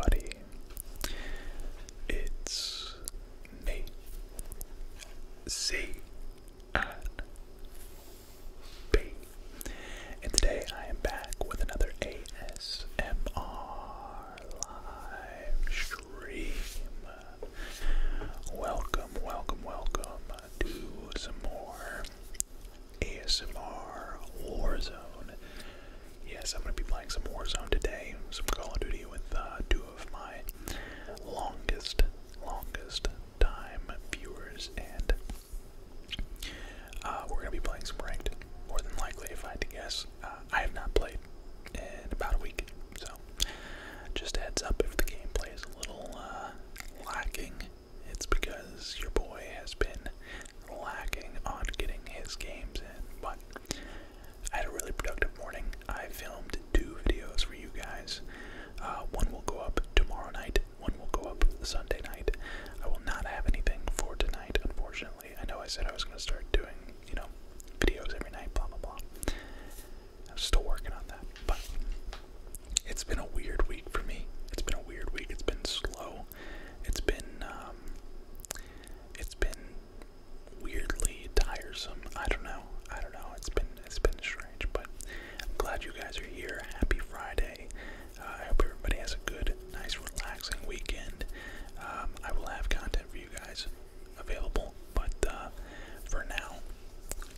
Everybody, it's me, C and B, and today I am back with another ASMR live stream. Welcome, welcome, welcome to some more ASMR Warzone. Yes, I'm going to be playing some Warzone today, some Call of Duty with uh, two of my longest, longest time viewers, and uh, we're going to be playing some ranked, more than likely, if I had to guess. Uh, I have not played in about a week, so just a heads up if the gameplay is a little uh, lacking, it's because your boy has been lacking on getting his games in. But I had a really productive morning. I filmed two videos for you guys. Uh, one will go up tomorrow night. One will go up Sunday night. I will not have anything for tonight, unfortunately. I know I said I was going to start doing, you know, videos every night, blah, blah, blah. I'm still working on that, but it's been a weird week for me. It's been a weird week. It's been slow. It's been, um, it's been weirdly tiresome. I don't know. I don't know. It's been, it's been strange, but I'm glad you guys are here. Happy Friday. Uh, I hope everybody has a good nice relaxing weekend. Um, I will have content for you guys available, but uh, for now,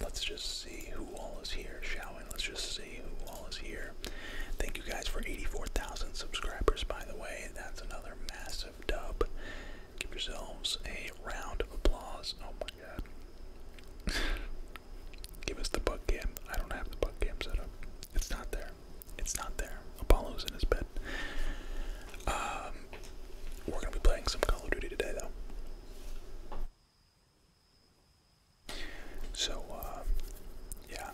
let's just see who all is here, shall Let's just see who all is here. Thank you guys for 84,000 subscribers, by the way. That's another massive dub. Give yourselves a round of applause. Oh my god. Give us the bug cam. I don't have the bug cam set up. It's not there there. It's not there. Apollo's in his bed. Um, we're gonna be playing some Call of Duty today, though. So, um, yeah,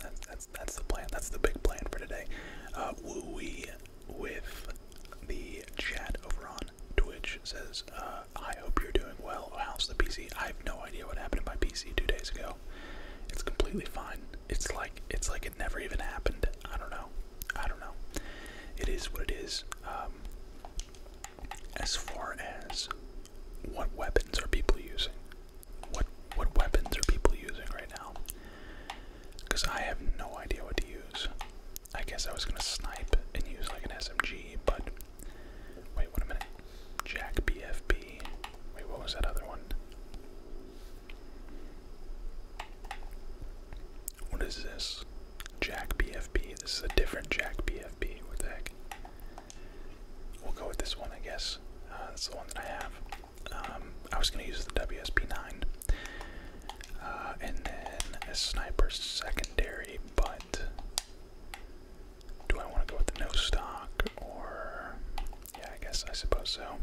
that's that's that's the plan. That's the big plan for today. Uh, we with the chat over on Twitch says, uh, "I hope you're doing well. How's the PC? I have no idea what happened to my PC two days ago. It's completely fine it's like it's like it never even happened. I don't know. I don't know. It is what it is. Um, as far as what weapons are people using? What what weapons are people using right now? Because I have no idea what to use. I guess I was gonna snipe and use like an SMG, but wait, wait a minute. Jack BFB. Wait, what was that other one? What is this? Jack BFP? This is a different Jack BFP. What the heck? We'll go with this one, I guess. Uh, that's the one that I have. Um, I was going to use the WSP9 uh, and then a sniper secondary, but do I want to go with the no stock or. Yeah, I guess I suppose so.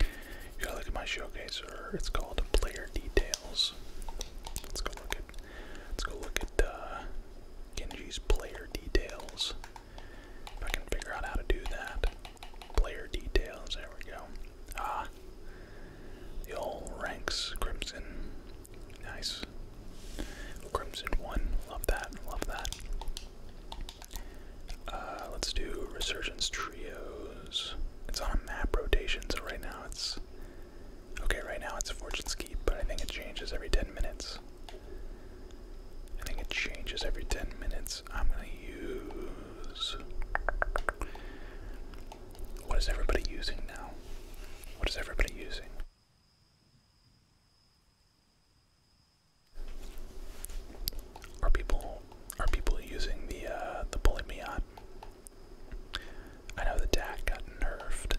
You gotta look at my showcase, or it's called Player Details. Let's go look at. Let's go look at uh, Player Details. If I can figure out how to do that. Player Details. There we go. Ah, the old ranks Crimson. Nice. Crimson one. Love that. Love that. Uh, let's do Resurgence Trios. It's on a map rotation, so right now it's. Okay, right now it's Fortune's Keep, but I think it changes every 10 minutes. I think it changes every 10 minutes. I'm gonna use. What is everybody using now? What is everybody using? Are people are people using the uh, the bullet me on? I know the DAC got nerfed.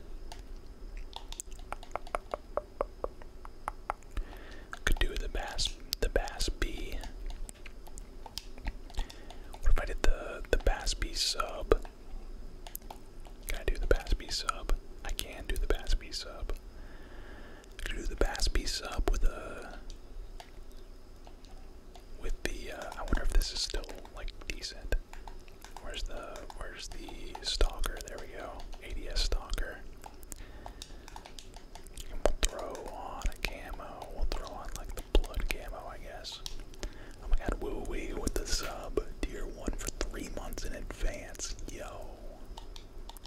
Could do the bass the bass B. What if I did the the bass B sub? Can I do the bass B sub? I can do the bass B sub. I could do the bass piece up with a with the uh, I wonder if this is still like decent. Where's the where's the stalker? There we go. ADS stalker. And we'll throw on a camo. We'll throw on like the blood camo, I guess. Oh my god, woo wee with the sub. Tier one for three months in advance. Yo.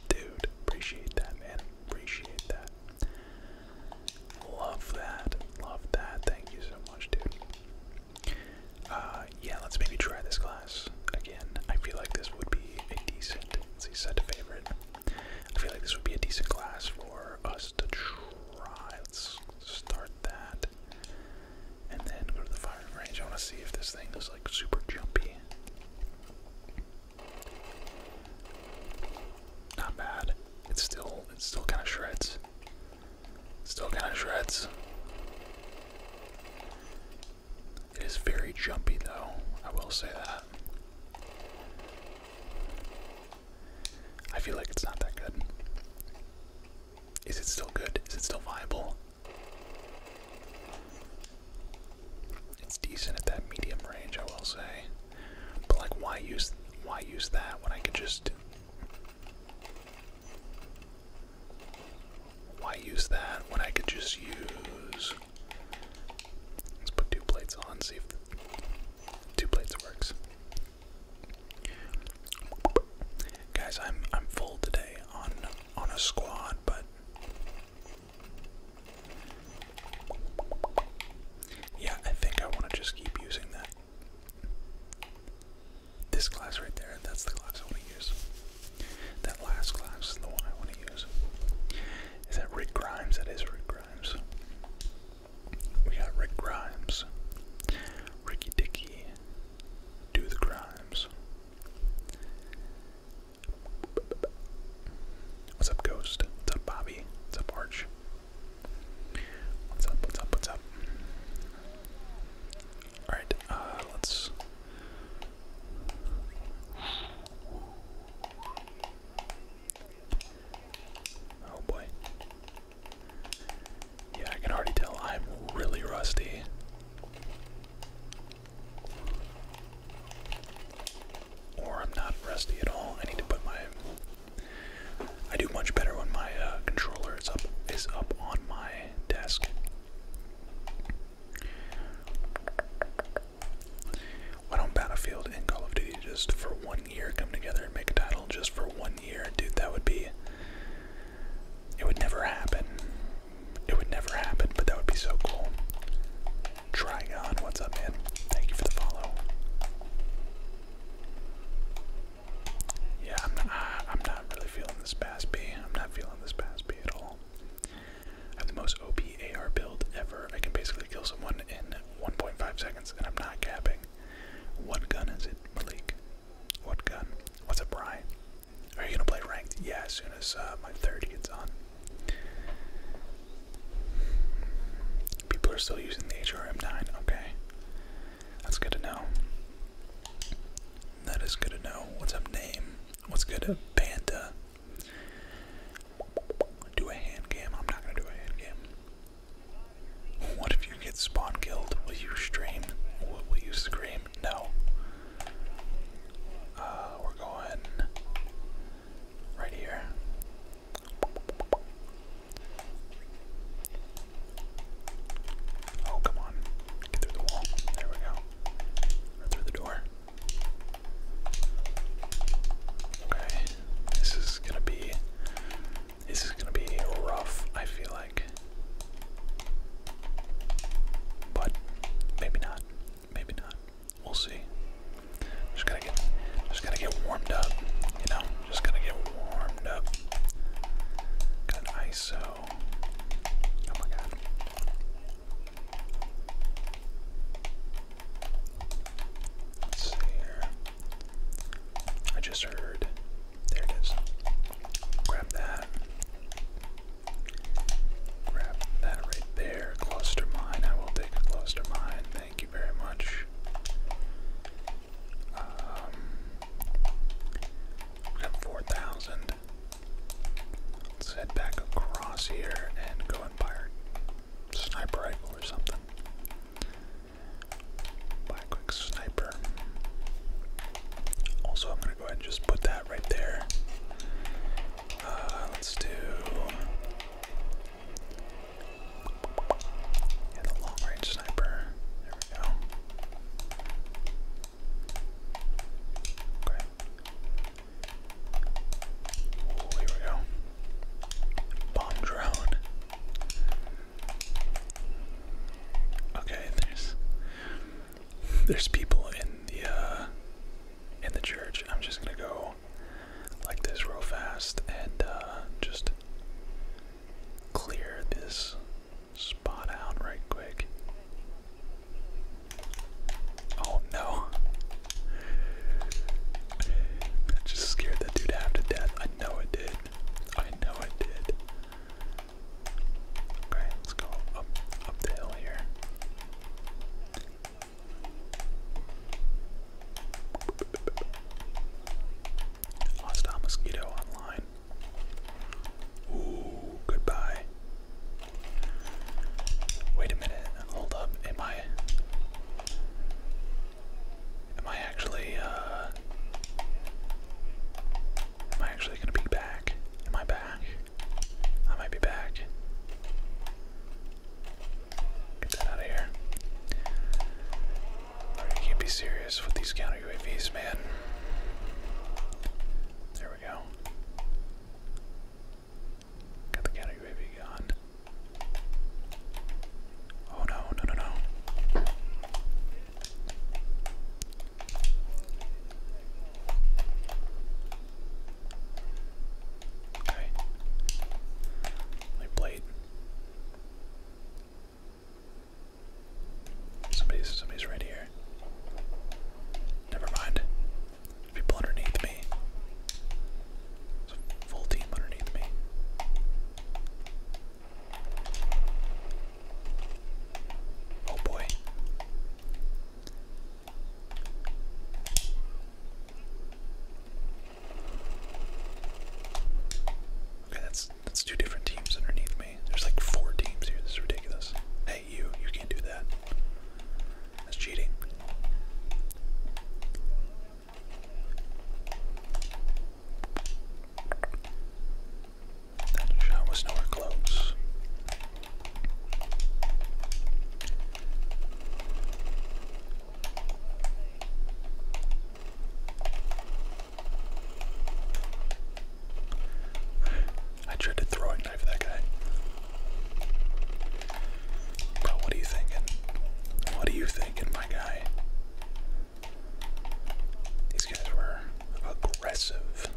Dude, appreciate that man. Appreciate that. Love that. Love that. Thank you so much, dude. Uh, yeah, let's maybe try this class again. I feel like this would be a decent. let set favorite. I feel like this would be a decent class for us to try. Let's start that. And then go to the firing range. I want to see if this thing is like super jumpy. Not bad. It's still it still kind of shreds. Still kind of shreds. It is very jumpy though. I will say that. I feel like it's not that good. Is it still good? Is it still viable? It's decent at that medium range, I will say. But like, why use why use that when I could just? Why use that when I could just use? Let's put two plates on. See if two plates works. Guys, I'm I'm full today on on a squad, but yeah, I think I want to just keep using that. This class right there, that's the class I want to use. That last class is the one I want to use. Is that Rick Grimes? That is Rick Grimes. We got Rick Grimes, Ricky Dicky, Do the Grimes, What's up, Ghost? What's up, Bobby? What's up, Arch? What's up, what's up, what's up? Alright, uh, let's. Oh boy. Yeah, I can already tell I'm really rusty. Or I'm not rusty at all. I need to put my. I do much better when my uh, controller is up is up on my desk. Why don't Battlefield and Call of Duty just for one year come together and make a title just for one year? Dude, that would be. It would never happen. It would never happen, but that would be so cool. Trigon, what's up, man? Thank you for the follow. Yeah, I'm not, really feeling this Bass B. I'm not feeling this Bass B at all. I have the most OP build ever. I can basically kill someone in 1.5 seconds, and I'm not capping. What gun is it, Malik? What gun? What's up, Brian? Are you gonna play ranked? Yeah, as soon as uh, my 30 gets on. People are still using the HRM9. Okay. That's good to know. That is good to know. What's up, name? What's good, up, Panda? Do a hand cam? I'm not gonna do a hand cam. What if you get spawn killed? Will you stream? Will you scream? No. Uh, we're going right here. Oh, come on. Get through the wall. There we go. through the door. Okay. This is gonna be. This is gonna be rough, I feel like. But maybe not. Maybe not. We'll see. Just gotta get, just gotta get warmed up. You know, just gotta get warmed up. Got ISO. Oh my god. Let's see here. I just heard. There it is. Grab that. Grab that right there. Cluster mine. I will take a cluster mine. Thank you very much. we um, got 4,000. Let's head back across here and go and buy our sniper rifle or something. Buy quick sniper. Also, I'm going to go ahead and just put that right there. Uh, let's do and the long range sniper. There we go. Okay. Oh, here we go. Bomb drone. Okay, there's there's people in the uh, in the church. I'm just gonna go like this real fast and uh, just clear this spot out right quick. Oh no. That just scared that dude half to death. I know it did. I know it did. Okay, let's go up up the hill here. Lost a mosquito online. Ooh, goodbye. Wait a minute. Hold up. Am I Am I actually uh, Am I actually going to be back? Am I back? I might be back. Get that out of here. you can't be serious with these counter UAVs, man. There we go. Got the counter UAV gone. Oh no, no, no, no. Okay. My blade. Somebody's somebody's right here. Never mind. people underneath me. full team underneath me. Oh boy. Okay, that's that's two different teams underneath me. There's like four teams here. This is ridiculous. Hey, you, you can't do that. That's cheating. That shot was nowhere close. I tried to throw a knife at that guy. But what are you thinking? What are you thinking, my guy? These guys were aggressive.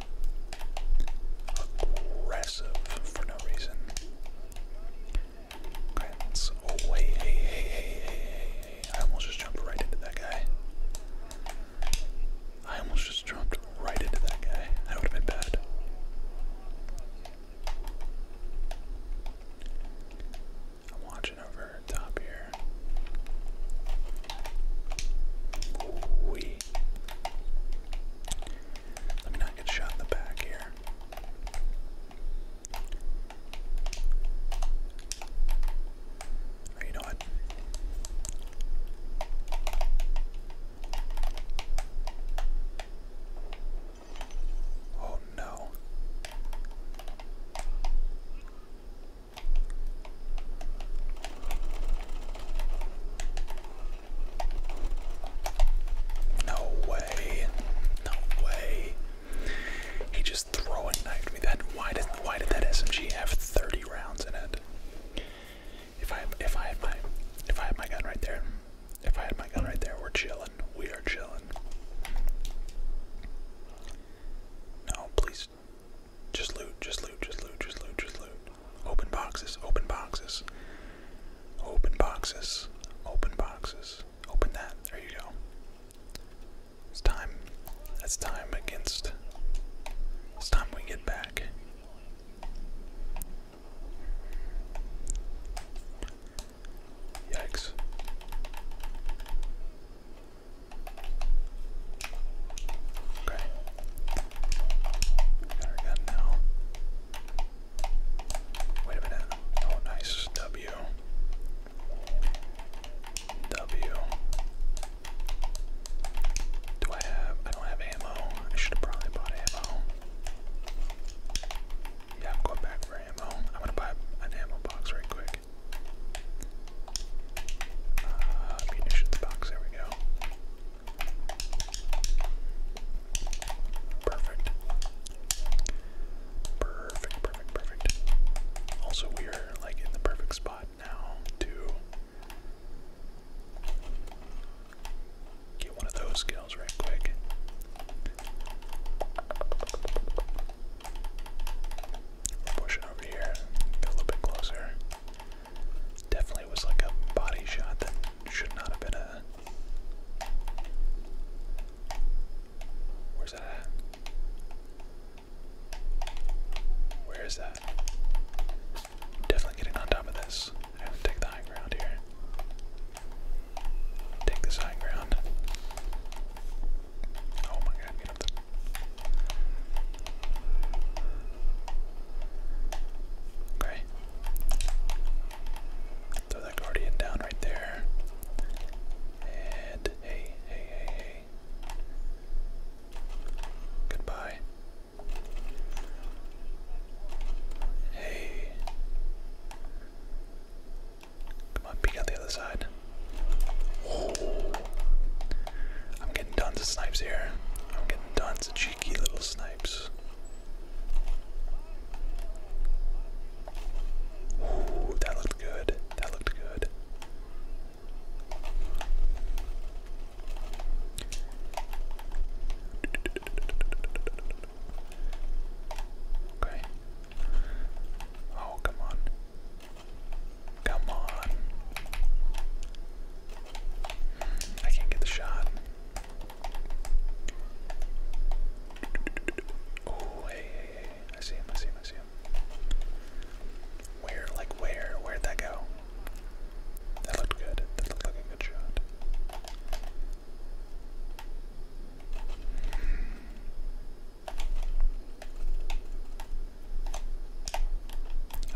Aggressive for no reason. Grants. Oh, wait, hey, hey, hey, hey, hey, hey. I almost just jumped right into that guy. I almost just jumped right into that guy. That would have been bad. I'm watching over top here. Wee. Let me not get shot in the back here. Or you know what? Oh no. No way. No way. He just throwing knifed me. That why did why did that SMG have 30 rounds in it? If I if I had my if I had my gun right there, if I had my gun right there, we're chilling. We are chilling. No, please. Just loot, just loot, just loot, just loot, just loot. Open boxes, open boxes. Open boxes. Open boxes. Open that. There you go. It's time. It's time against. It's time we get back. Yikes. Okay. Got our gun now. Wait a minute. Oh, nice. W. W. Do I have. I don't have ammo. I should have probably bought ammo. Yeah, going back for ammo. I'm gonna buy an ammo box right quick. Uh, munitions box, there we go. Perfect. Perfect, perfect, perfect. Also, we are like in the perfect spot now to get one of those skills right quick. pushing over here, a little bit closer. Definitely was like a body shot that should not have been a Where's that Where is that? Definitely getting on top of this. take the high ground here. Take this high ground. Oh my god, Okay that guardian down right there. And hey, hey, hey, hey. Goodbye. Hey. Come on, peek out the other side. I'm getting tons of snipes here. I'm getting tons of cheeky little snipes. Ooh, that looked good. That looked good. Okay. Oh, come on. Come on. Hmm, I can't get the shot. Oh, hey, I see him, I see him, I see him. Where, like, where? Where'd that go? That looked good. That looked like a good shot.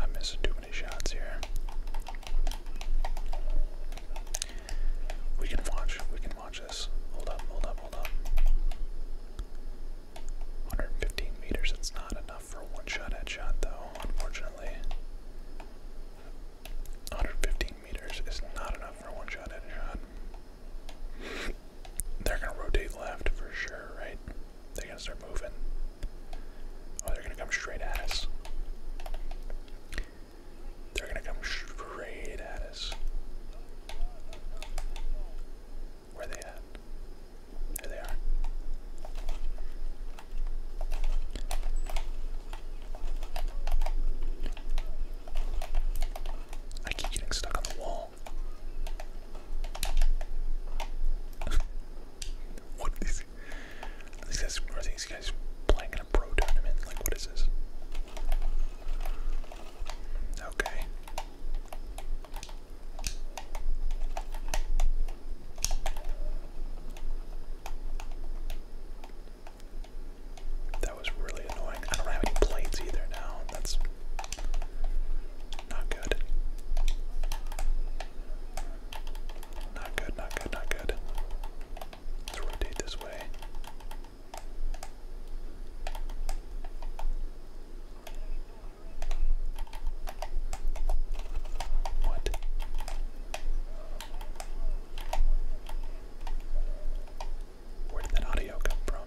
I'm missing too many shots here. We can watch. We can watch this. Hold up, hold up, hold up. 115 meters, it's not enough for one shot at shot, though, unfortunately. 115 meters is not enough for one shot at shot. they're gonna rotate left for sure, right? They're gonna start moving. Oh, they're gonna come straight at us. They're going to come straight at us. Where are they at? There they are. I keep getting stuck on the wall. what is these these guys playing in a pro tournament? Like what is this? Okay. That was really annoying. I don't have any plates either now. That's not good. Not good, not good, not good. Let's this way. What? Where did that audio come from?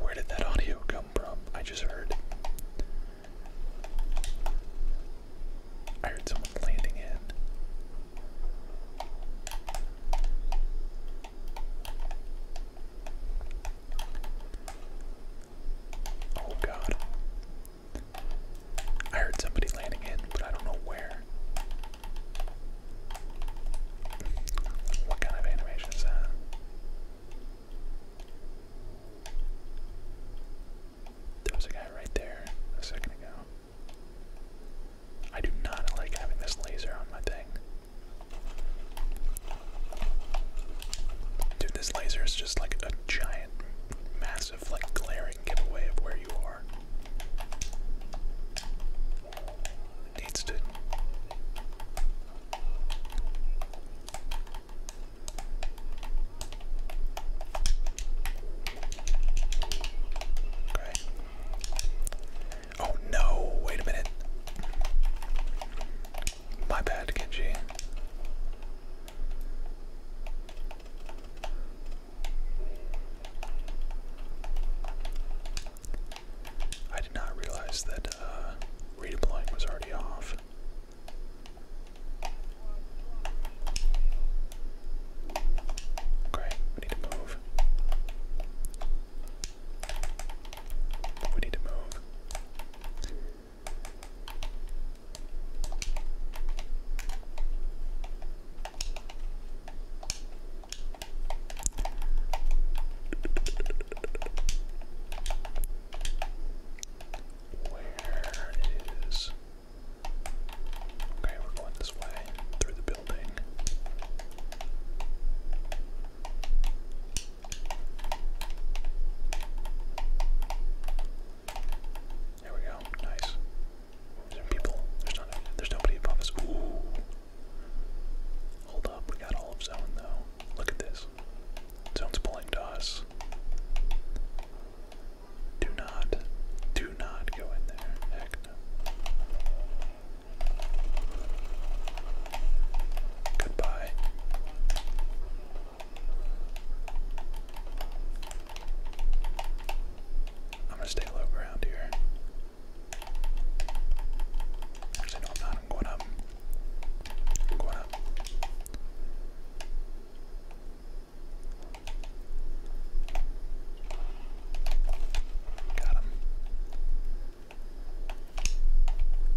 Where did that audio come from? I just heard. I heard someone landing in. Oh god. I heard somebody landing in, but I don't know where. What kind of animation is that? There was a guy right there a second ago. I do not like having this laser on my thing. Dude, this laser is just like a giant, massive, like glaring giveaway of where you are. needs to. Oh no, wait a minute. My bad, Genji. I did not realize that uh, redeploying was already off. Okay, we need to move. We need to move. Where is Okay, we're going this way through the building. There we go. Nice. There's people. There's not. There's nobody above us. Ooh. Hold up. We got all of zone though. Look at this. Zone's pulling to us. Do not, do not go in there. Heck no. Goodbye. I'm gonna stay low ground here. Actually, no, I'm not. I'm going up. going up. Got him.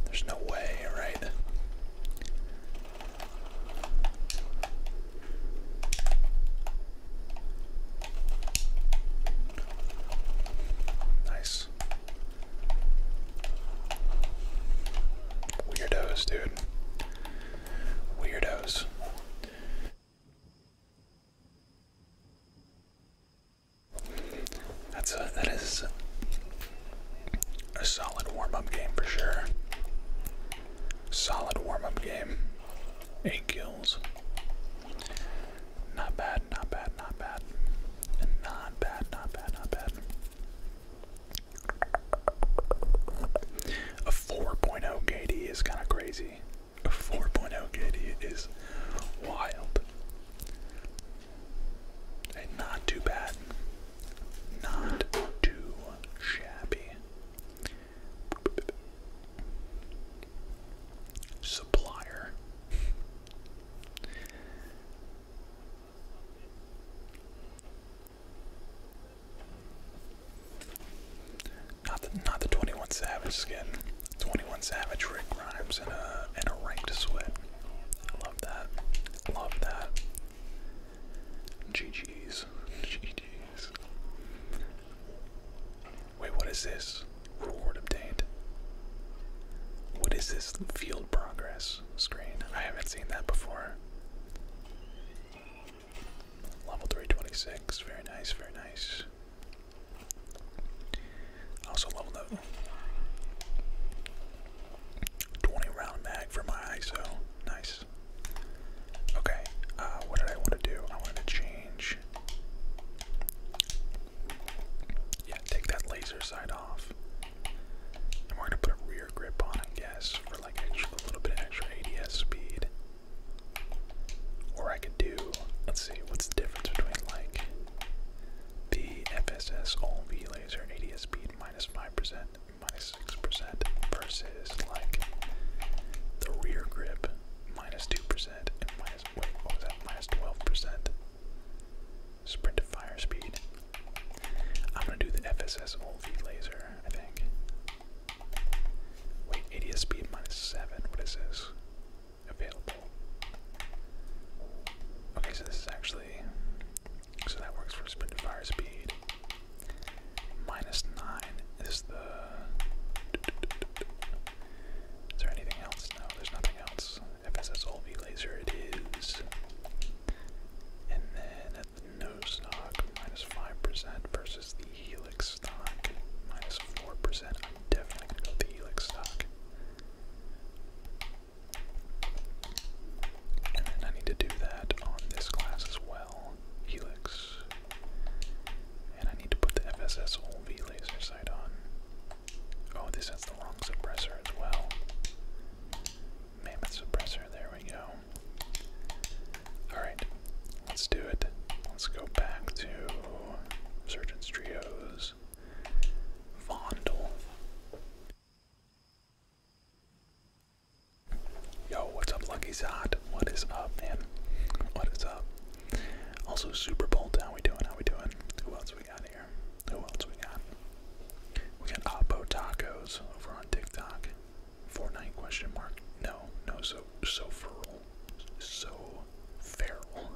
There's no way, right? Nice. Weirdos, dude. Weirdos. That's a, that is a solid warm-up game for sure. Solid warm-up game. Eight kills. Not bad, not bad, not bad. Not bad, not bad, not bad. A 4.0 KD is kind of crazy. A 4.0 KD is wild. And not too bad. Not too shabby. Supplier. Not the, not the 21 Savage skin. 21 Savage, Rick Rhymes, and a, and a ranked sweat. I love that. Love that. GG's. GG's. Wait, what is this? Reward obtained. What is this field progress screen? I haven't seen that before. Level 326. Very nice, very nice. Also level up. 20 round mag for my ISO. Nice. Okay, uh, what did I want to do? I wanted to change. Yeah, take that laser side off. And we're gonna put a rear grip on, I guess, for like a little bit extra ADS speed. Or I could do, let's see, what's the difference between like the FSS all V laser ADS speed minus 5%, minus 6% versus like the rear grip minus 2% and minus, wait, what was that, 12%? Sprint to fire speed. I'm gonna do the FSS all V laser, I think. Wait, ADSB 7. What is this? Available. Okay, so this is actually. So that works for speed and fire speed. Minus 9 is the. Is there anything else? No, there's nothing else. FSS LV laser, it is. And then Nose Knock, minus 5% versus the Helix stock, minus 4%. I'm definitely going to go with the Helix stock. And then I need to do that on this class as well. Helix. And I need to put the FSS OLV laser sight on. Oh, this has the long suppressor as well. Mammoth suppressor, there we go. Alright, let's do it. Let's go back to Surgeon's Trios. Fondle. Yo, what's up, Lucky Zod? What is up, man? What is up? Also, Super Bolt, how we doing? How we doing? Who else we got here? Who else we got? We got Oppo Tacos over on TikTok. Fortnite question mark? No, no, so so feral. So feral.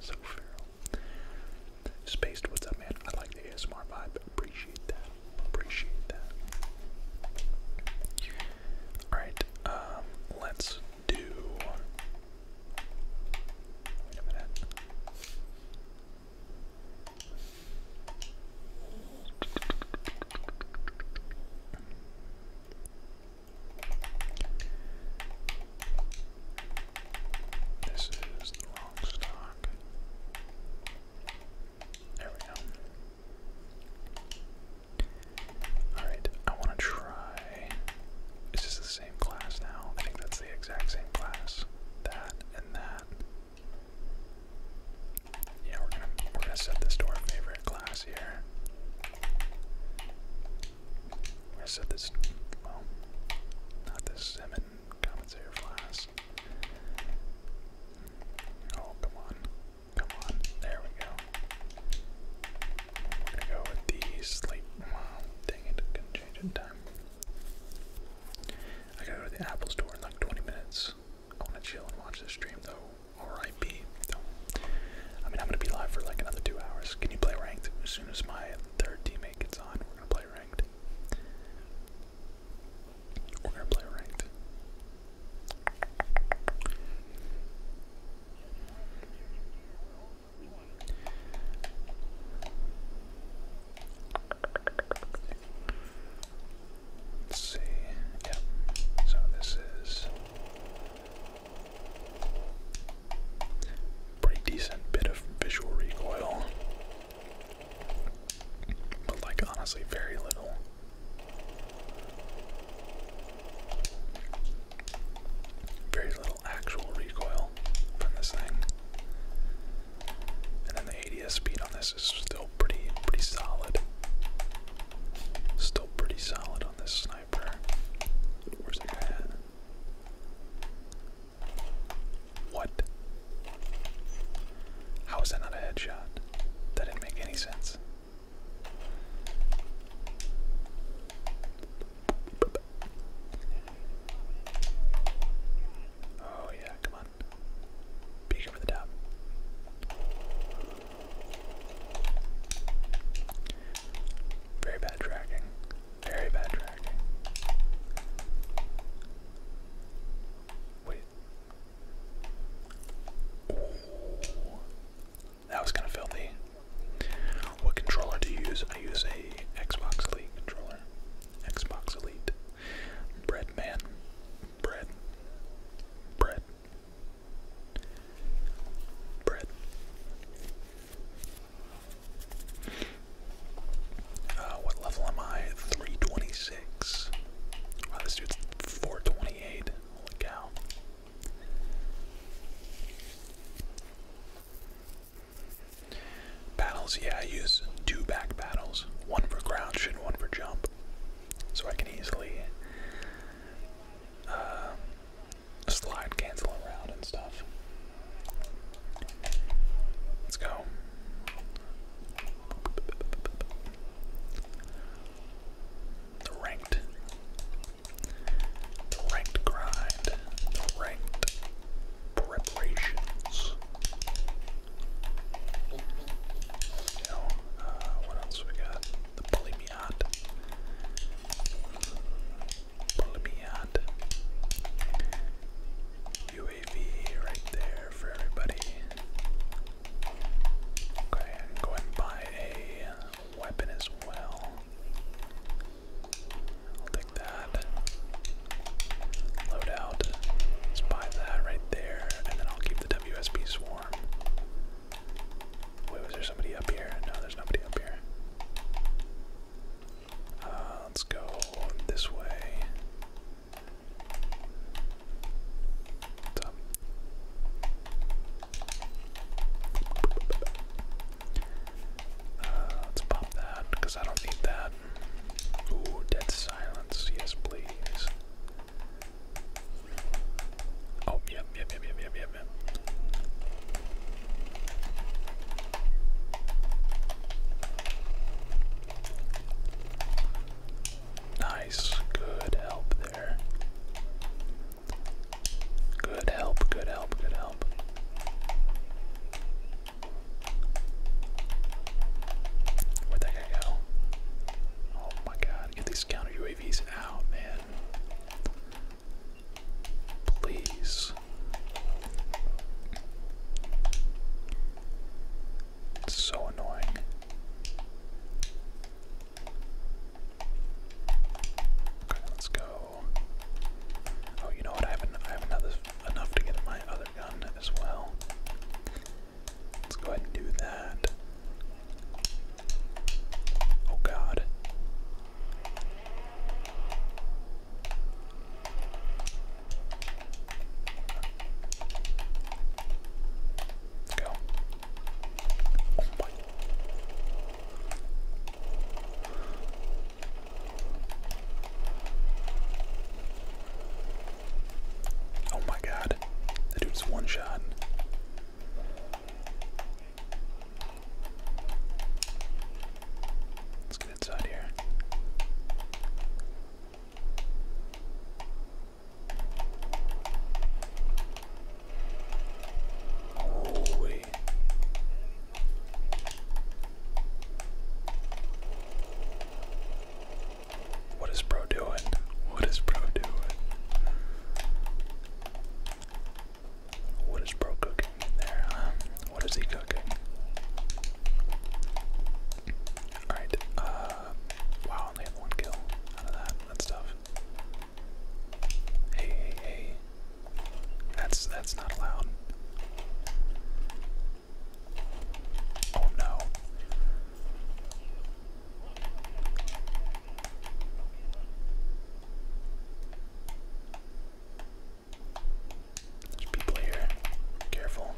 So feral. Spaced, what's up man? I like the ASMR vibe. Appreciate that. Appreciate that. Alright, um, let's do Wait a minute. This is the wrong stock. There we go. Alright, I want to try. Is this the same class now? I think that's the exact same class. That and that. Yeah, we're gonna we're gonna set this to our favorite class here. We're gonna set this well not this Zemin compensator class. Oh come on. Come on. There we go. We're gonna go with the sleep wow, dang it, couldn't change in time. I gotta go to the Apple store in like 20 minutes. I want to chill and watch this stream though. R.I.P. Though. I mean, I'm gonna be live for like another two hours. Can you play ranked? As soon as my third teammate gets on, we're gonna play ranked. We're gonna play ranked. Let's see. Yeah. So this is pretty decent bit of visual recoil. But like honestly very little. Very little actual recoil from this thing. And then the ADS speed on this is still pretty pretty solid. Still pretty solid on this sniper. Where's that guy What? How is that not a headshot? That didn't make any sense. Oh yeah, come on. Peek over the top. Very bad tracking. Very bad tracking. Wait. Ooh. That was kind of filthy. What controller do you use? I use a Xbox Elite controller. Xbox Elite. Bread man. Bread. Bread bread. Uh, what level am I? 326. Wow, this dude's 428. Holy cow. Battles, yeah, I use two back battles. One for crouch and one for jump. So I can easily uh, slide cancel around and stuff. Let's go. ranked, ranked grind, ranked preparations. Uh, what else we got? The bully me me out. UAV right there for everybody. Okay, I'm going and buy a weapon as well. I'll take that. Load Let's buy that right there, and then I'll keep the WSB swarm. Wait, was there somebody up here? No, there's nobody up here. Uh, let's go this way. Uh, let's pop that because I don't need that. Ooh, dead silence. Yes, please. Oh, yep, yep, yep, yep, yep, yep, yep. Nice, good help there. Good help, good help, good help. Where'd that guy go? Oh my god, get these counter He's out, man. Please. It's so annoying. Okay, let's go. Oh, you know what? I have another enough to get my other gun as well. Let's go ahead and do that. Oh god. go. Oh my. Oh my god. The dude's one shot. Let's get inside here. Holy. Oh, what is bro doing? What is bro doing? What is bro cooking there, um, What is he cooking? Alright, uh, wow, only one kill out of that, that's tough. Hey, hey, hey. That's, that's not allowed. Oh no. There's people here. Careful.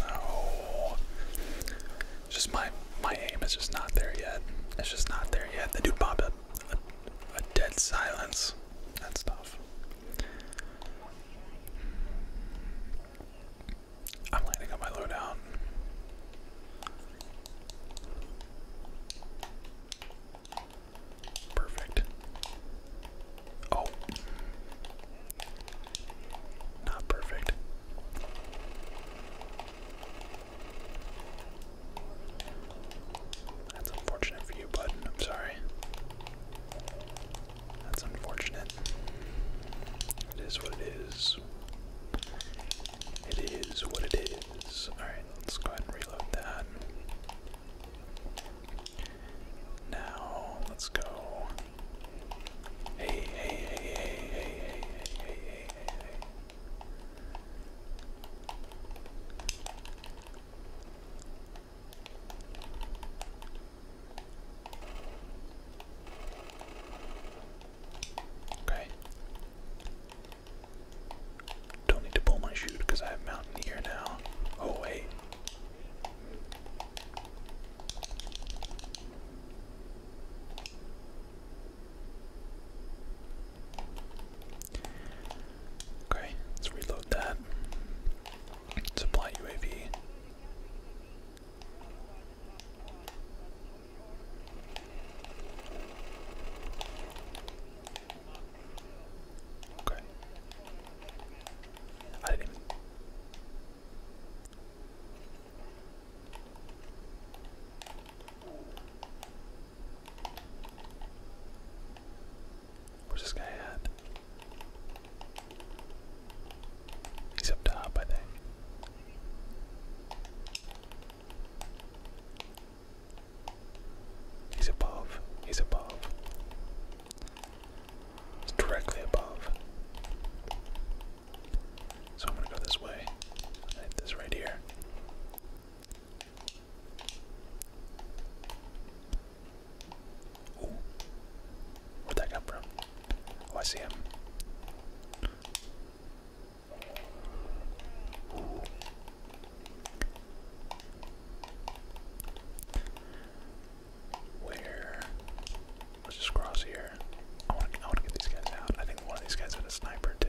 No. It's just my my aim is just not there yet. It's just not there yet. The dude popped up a, a dead silence. That's tough. I'm landing on my lowdown. Perfect. Oh. Not perfect. That's unfortunate for you, bud. I'm sorry. That's unfortunate. It is what it is. It is what it is. Alright, let's go ahead and reload that. Now, let's go. hey, hey, hey, hey, hey, hey, hey, hey, hey. Okay. Don't need to pull my chute because I have Mountaineer now. Oh, wait. Okay, let's reload that. Supply UAV. Okay. I didn't Where's this guy at? He's up top, I think. He's above. He's above. He's directly above. So I'm gonna go this way. I hit this right here. Ooh. Where'd that come from? Oh, I see him. Ooh. Where? Let's just cross here. I want to get these guys out. I think one of these guys had a sniper too.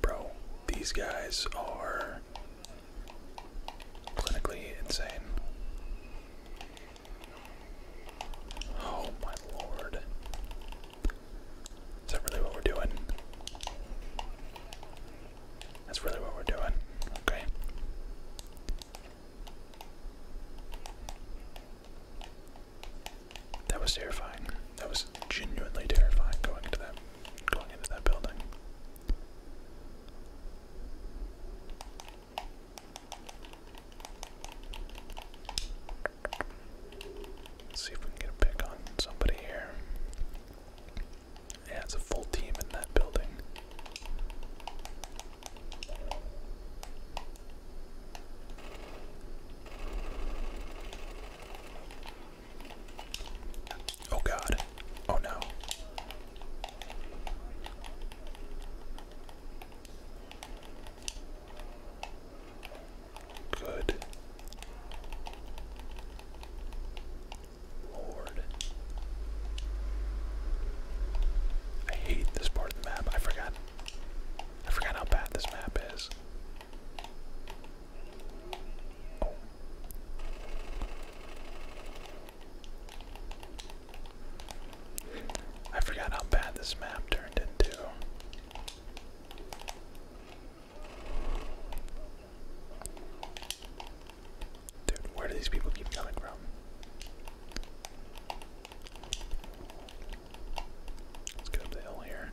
Bro, these guys are clinically insane. Oh my lord. Is that really what we're doing? That's really what we're doing. Okay. That was terrifying. That was genuinely terrifying going into that building. Let's see if we can get a pick on somebody here. Yeah, it's a full team in that building. Oh God. Oh no. Good. Lord. I hate this part of the map. I forgot I forgot how bad this map is. I forgot how bad this map turned into. Dude, where do these people keep coming from? Let's get up the hill here.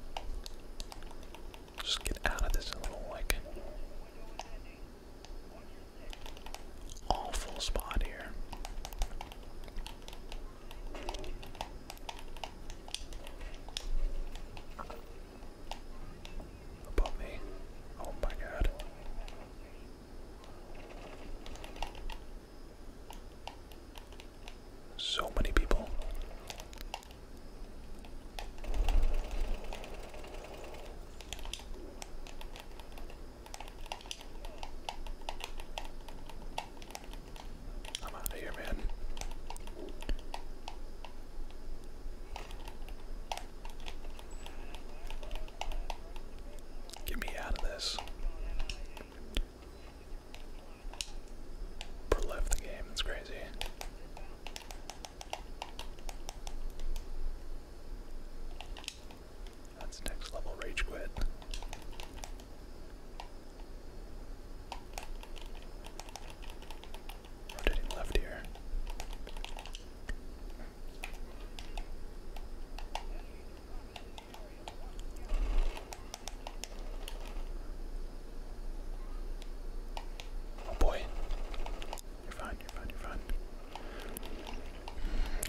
Just get out of this little like awful spot here. Above me. Oh my god. So many people. I'm out of here, man. Get me out of this left the game, it's crazy. That's next level rage quit. Rotating left here. Oh boy. You're fine, you're fine, you're fine.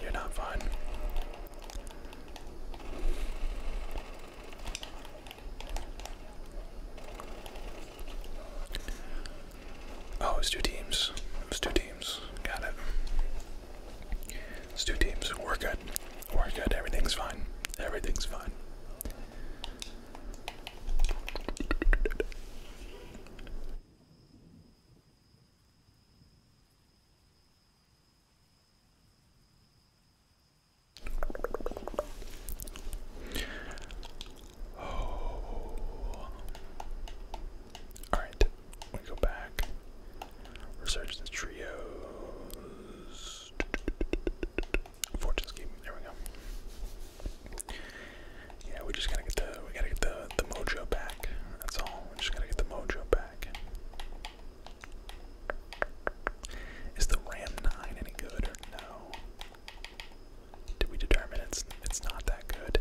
You're not fine. Oh, it two teams. It's two teams. Got it. It's two teams. We're good. We're good. Everything's fine. Everything's fine. Oh. All right we go back. Research the trios. Fortune's keeping. There we go. Yeah, we just gotta get the we gotta get the the mojo back. That's all. We just gotta get the mojo back. Is the Ram Nine any good or no? Did we determine it's it's not that good?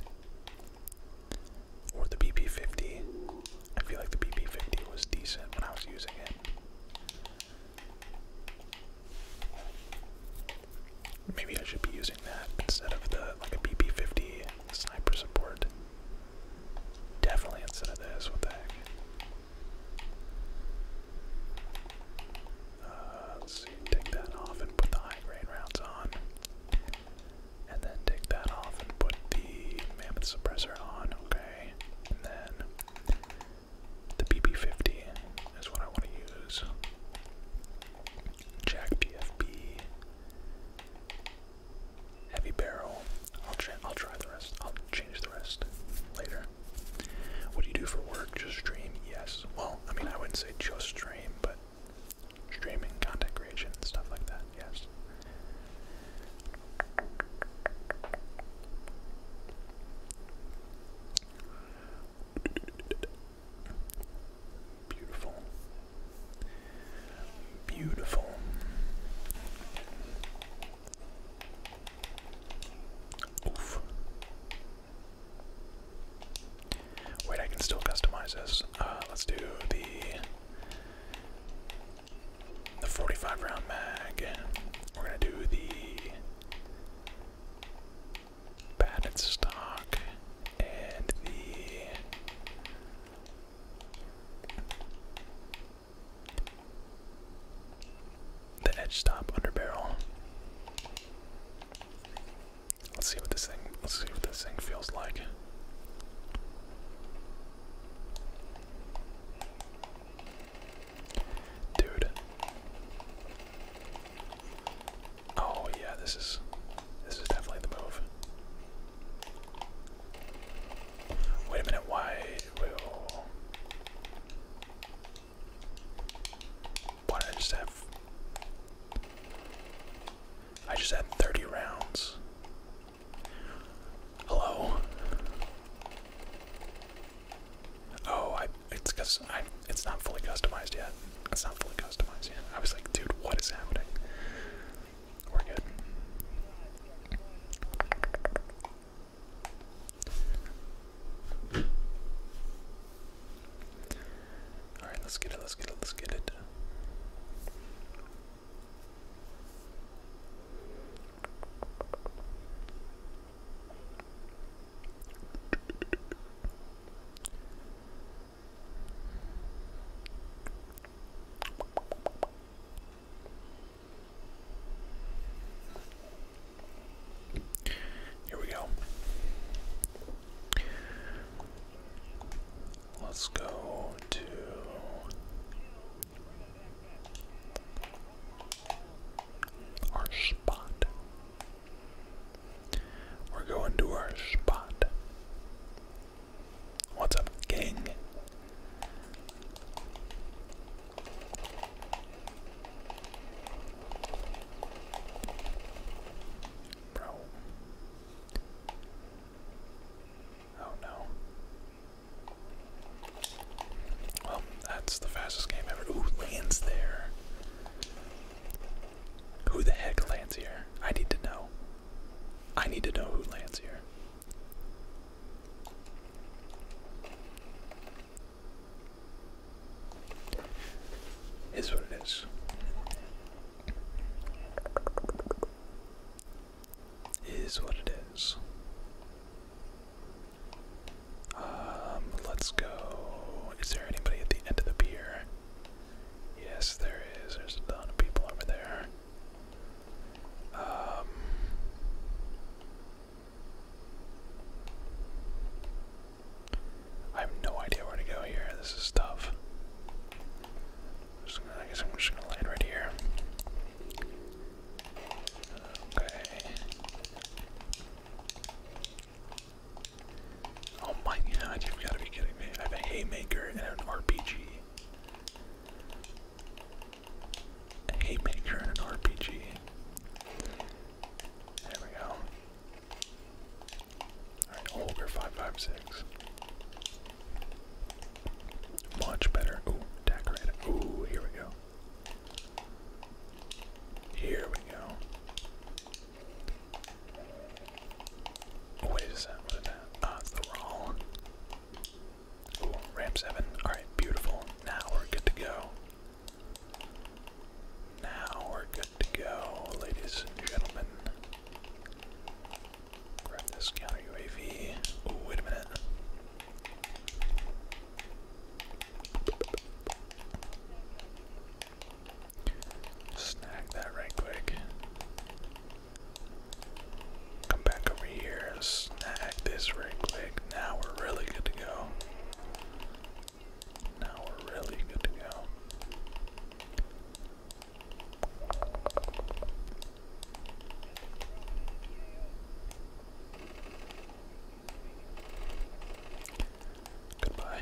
or the BP50. I feel like the BP50 was decent when I was using it. Maybe I should be using that instead of the like a BP50 sniper support. Definitely instead of this. What the heck? Uh, let's see. Take that off and put the high grade rounds on. And then take that off and put the mammoth suppressor on, okay? And then the BB50 is what I want to use. Jack PFB. Heavy barrel. I'll try. I'll try the rest. I'll change the rest later. What do you do for work? Just stream? Yes. Well, I mean, I wouldn't say just stream, but streaming, content creation, stuff like that. Yes. Beautiful. Beautiful. Oof. Wait, I can still customize this. Uh, let's do the the 45 round mag. and We're gonna do the padded stock and the the edge stop under barrel. Let's see what this thing. Let's see what this thing feels like. Dude. Oh yeah, this is this is definitely the move. Wait a minute, why why did I just have I just had 30 rounds. Hello. Oh, it's because it's not fully customized yet. It's not fully customized yet. I was like, dude, what is happening? We're good. All right, let's get it. Let's get it. Let's get it. Here we go. Let's go to our spot. We're going to our spot. What's up, gang? Bro. Oh no. Well, that's the fastest game ever. Who lands there. Who the heck lands here? I need to know. I need to know who lands here. Is what it is is what it is. Um, let's go. Is there anybody at the end of the pier? Yes, there is. There's a ton of people over there. Um, I have no idea where to go here. This is tough. I guess I'm just gonna land right here. Okay. Oh my god, you've got to be kidding me. I have a haymaker and an RPG. haymaker and an RPG. There we go. Alright, Holger 556. Much better. Ooh, decorate. Ooh, here we go. Here we go. wait a second, what is that? Ah, the roll. Ooh, ramp 7. Alright, beautiful. Now we're good to go. Now we're good to go, ladies and gentlemen. Grab this counter UAV. Oh, wait a minute. Snag that right quick. Come back over here. Snag this right quick. Now we're really good to go. Now we're really good to go. Goodbye.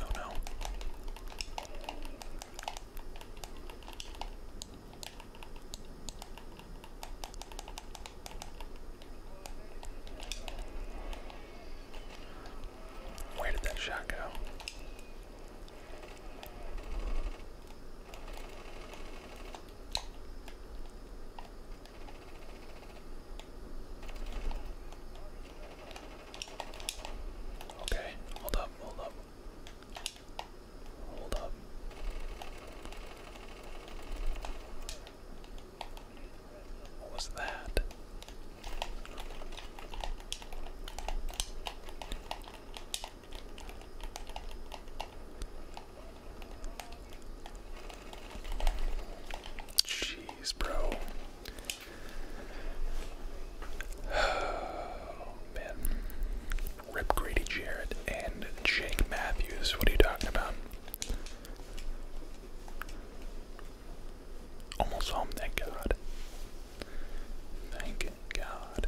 Oh no. Where did that shot go? Okay, hold up, hold up. Hold up. What was that? Jeez, bro. Oh, man. Rip Grady Jarrett and Jake Matthews. What are you talking about? Almost home, thank God. Thank God.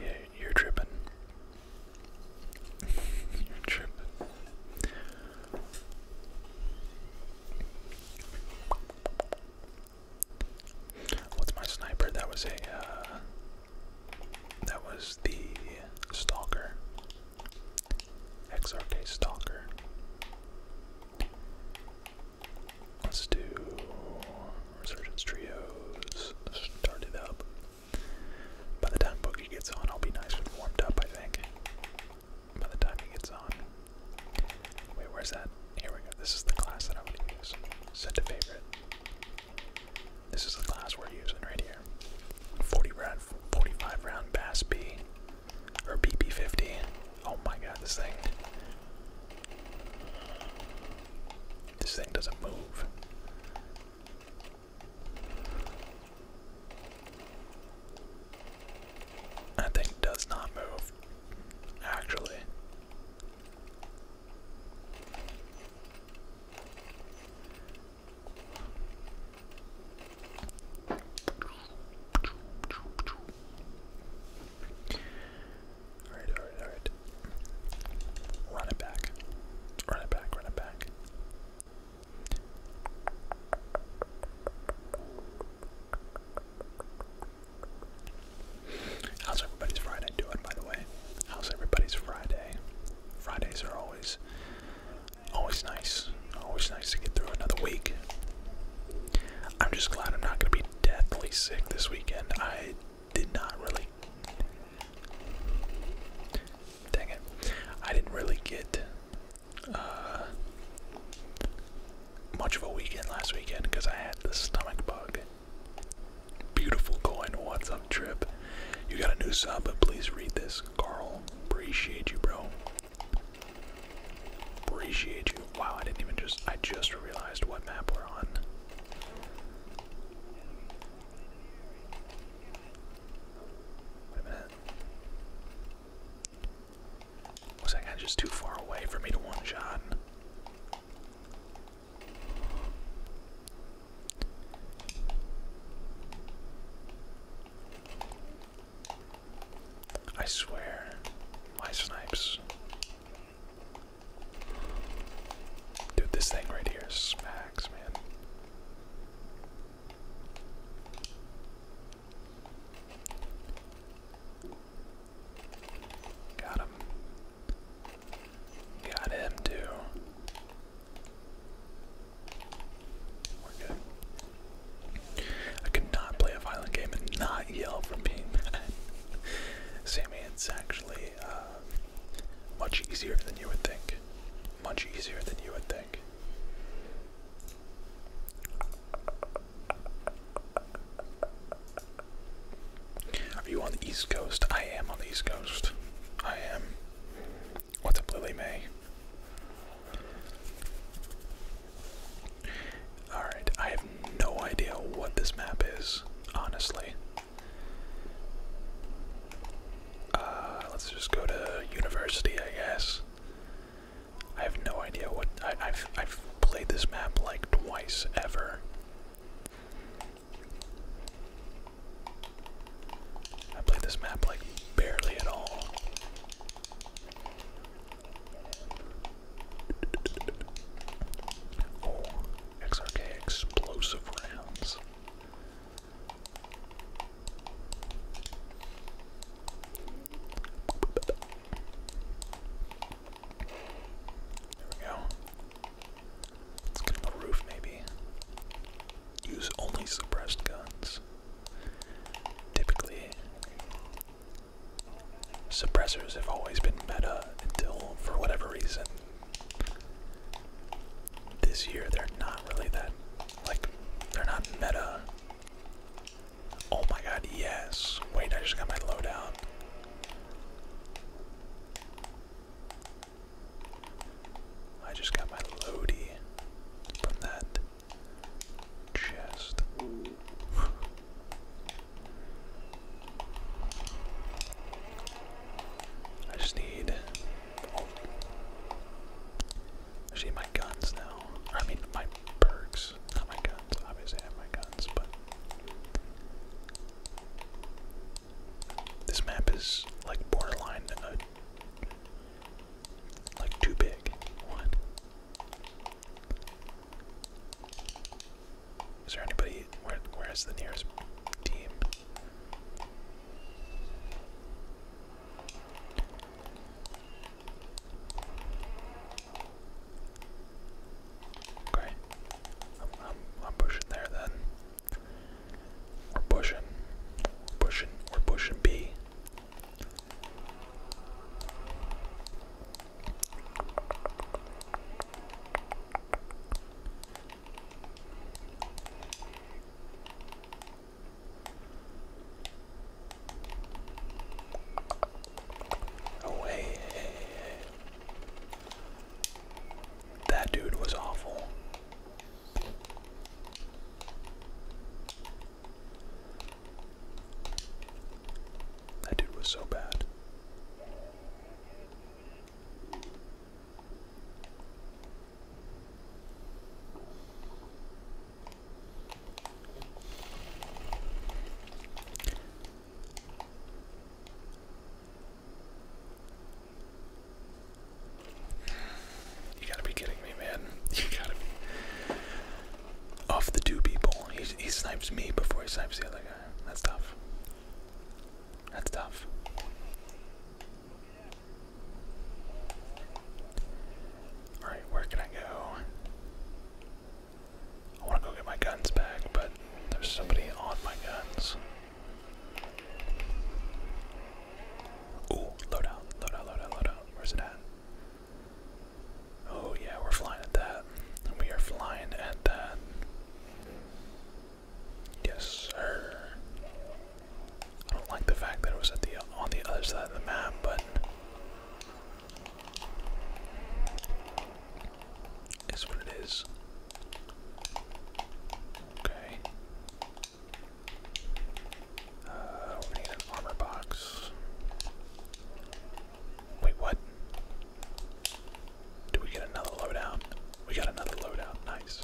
Yeah, you're tripping. you're tripping. What's my sniper? That was a, uh, that was the stalker. XRK Stalker. Let's do Resurgence Trios. Start it up. By the time Boogie gets on, I'll be nice and warmed up, I think. By the time he gets on. Wait, where's that? Here we go. This is the class that I'm going to use. Set to favorite. This is the class we're using right here. 40 round, 45 round Bass B. Or BP50. Oh my god, this thing. This thing doesn't move. That thing does not move, actually. Alright, alright, alright. Run it back. Run it back, run it back. How's everybody's Friday doing, by the way? How's everybody's Friday? Fridays are always Always nice. Always nice to get through another week. I'm just glad I'm not going to be deathly sick this weekend. I did not really. Dang it. I didn't really get uh, much of a weekend last weekend because I had the stomach bug. Beautiful going What's up, Trip? You got a new sub, but please read this. Carl, appreciate you, bro. Appreciate you. Wow, I didn't even just, I just realized what map we're on. Wait a minute. Was that guy just too far away for me to one shot? I swear, my snipes. Dude, this thing right here smacks, man. Got him. Got him, too. I could play a violent game and not yell from being mad. Sammy, it's actually uh, much easier than you would think. Much easier than you would think. Are you on the East Coast? I am on the East Coast. I am. What's up, Lily May? Alright, I have no idea what this map is, honestly. Uh, let's just go to university, I guess. I have no idea what I've I've played this map like twice ever. I played this map like barely at all. XRK explosive rounds. There we go. Let's get him a roof, maybe. Use only suppressed guns. Typically, suppressors have always been meta until, for whatever reason, this year they're not really that. Like, they're not meta. Oh my god, yes. Wait, I just got my lowdown. I just got my loady from that chest. I just need. I need my guns now. I mean, my perks. Not my guns. Obviously, I have my guns, but. This map is like borderline, uh, like too big. What? Is there anybody? Where, where is the nearest team? Okay, I'm, I'm, pushing there then. We're pushing, pushing, we're pushing B. Oh, hey, That dude was awful. That dude was so bad. You gotta be kidding me, man. You gotta be. Off the two people. He, he snipes me before he snipes the other guy. That's tough. That's tough. Alright, where can I go? I want to go get my guns back, but there's somebody on my guns. Ooh, loadout, loadout, loadout, loadout. Where's it at? Oh, yeah, we're flying at that. We are flying at that. Yes, sir. I don't like the fact that it was at the on the other side of the map, but it's what it is. Okay. Uh, we need an armor box. Wait, what? Do we get another loadout? We got another loadout. Nice.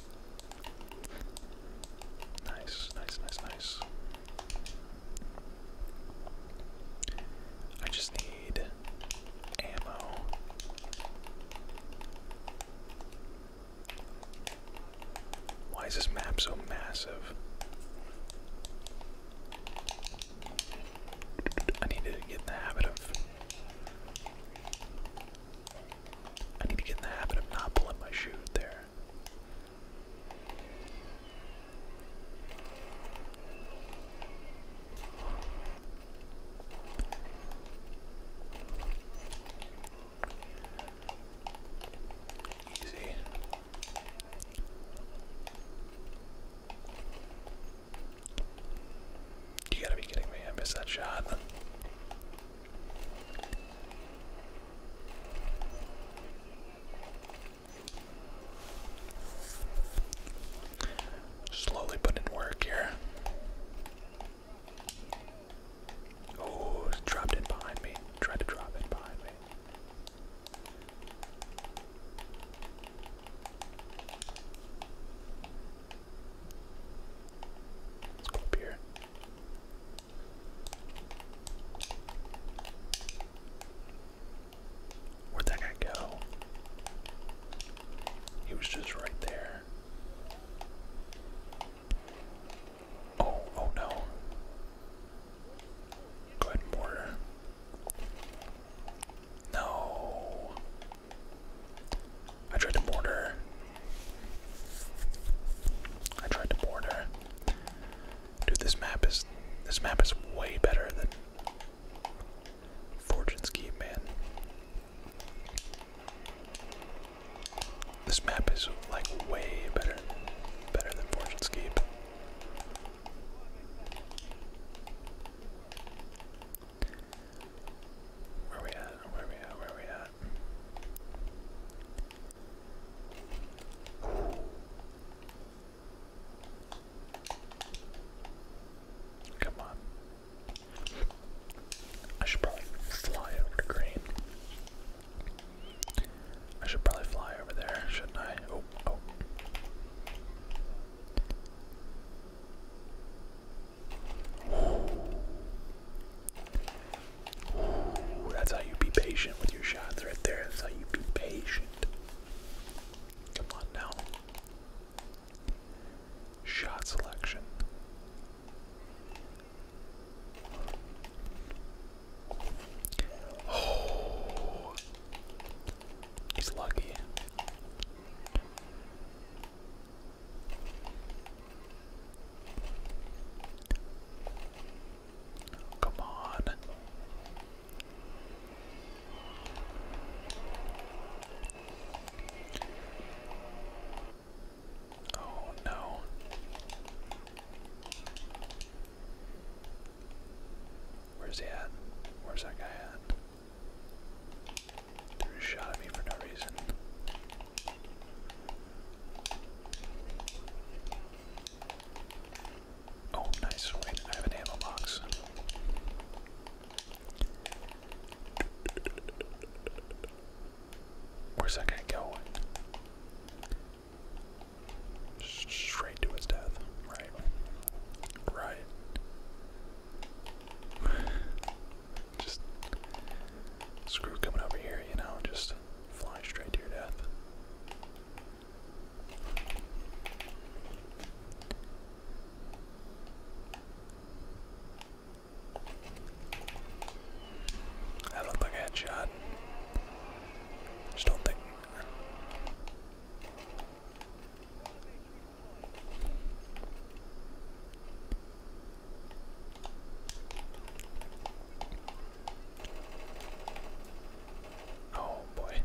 Nice, nice, nice, nice. I just need ammo. Why is this map so massive? I need to get in the habit of. I need to get in the habit of not pulling my shoe there. Easy. You gotta be kidding me, I missed that shot. Slowly put work here. Oh, dropped in behind me. Tried to drop in behind me. Let's go up here. Where'd that guy go? He was just right there. Oh, oh no. Go ahead mortar. No. I tried to mortar. I tried to mortar. Dude, this map is this map is way better than Fortune's Keep, man. This map is like way better, better than Fortune's Keep. Where we at? Where we at? Where we at? Come on. I should probably fly over to green. I should probably fly over there, shouldn't I? Oh, oh. Ooh. that's how you be patient with your shots right there. That's how you be patient. Come on now. Shot selection. Oh, he's lucky. Come on. Oh no. Where's he at? Where's that guy at? Threw a shot me for no reason. Oh, nice. Wait, I have an ammo box. Where's that guy going? Straight to his death. Right. Right. just screw coming over here, you know, just fly straight to your death. That looked like headshot. Just don't think Oh boy.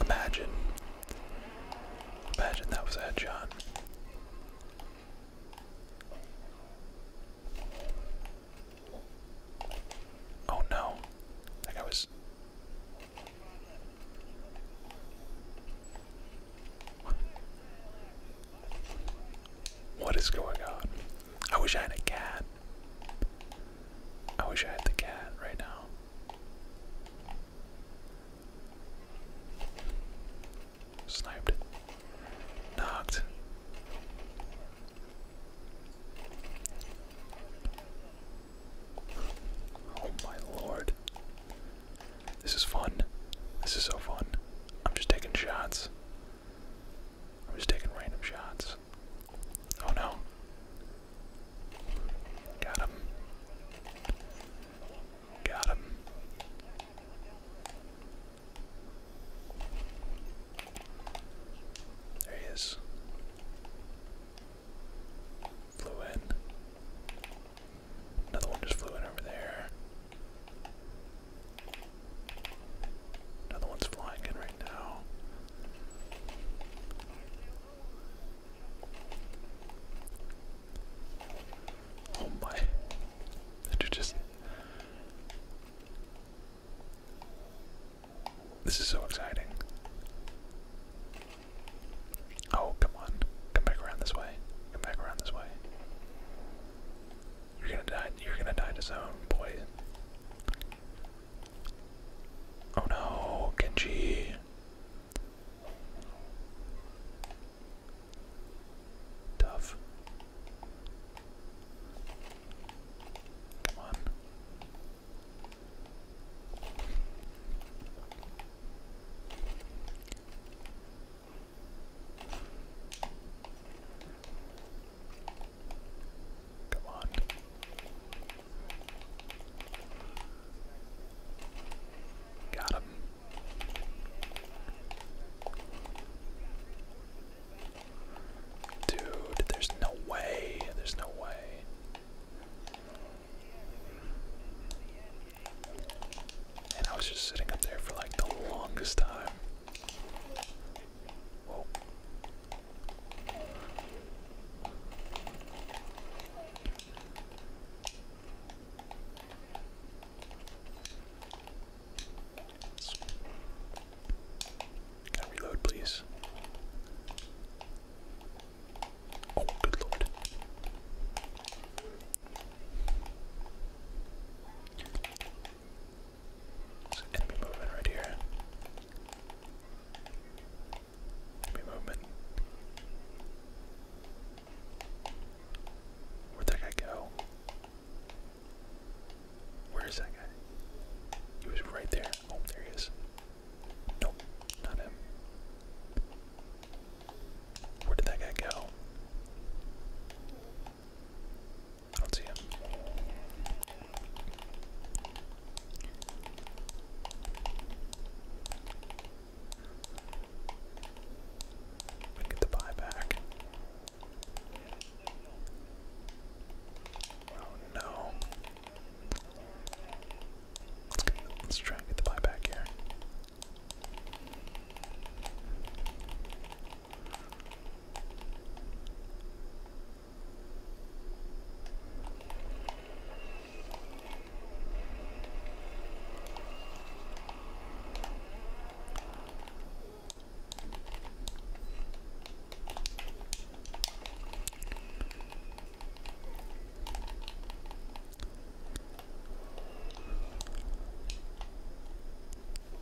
Imagine. Imagine that was a headshot. Oh no, that guy was. what is going on? I wish I had a cat. I wish I had the cat right now. Sniped. Knocked. Oh my lord. This is fun. This is so fun. I'm just taking shots. I'm just taking random shots. Oh no. Got him. Got him. There he is. Flew in. Another one just flew in over there. Another one's flying in right now. Oh my. Did you just this is so exciting. Oh, come on. Come back around this way. Come back around this way. You're gonna die. You're gonna die to zone, boy. Oh no, Genji. Tough. Come on. Come on. Got him. Dude, there's no way. There's no way. And I was just sitting up there for like the longest time. Whoa reload, please? Oh, good lord. enemy movement right here. Enemy movement. Where'd that guy go? Where is that guy? He was right there. Oh, there he is. Nope, not him. Where did that guy go? I don't see him. We get the buy Oh no. Let's try and get the buyback here.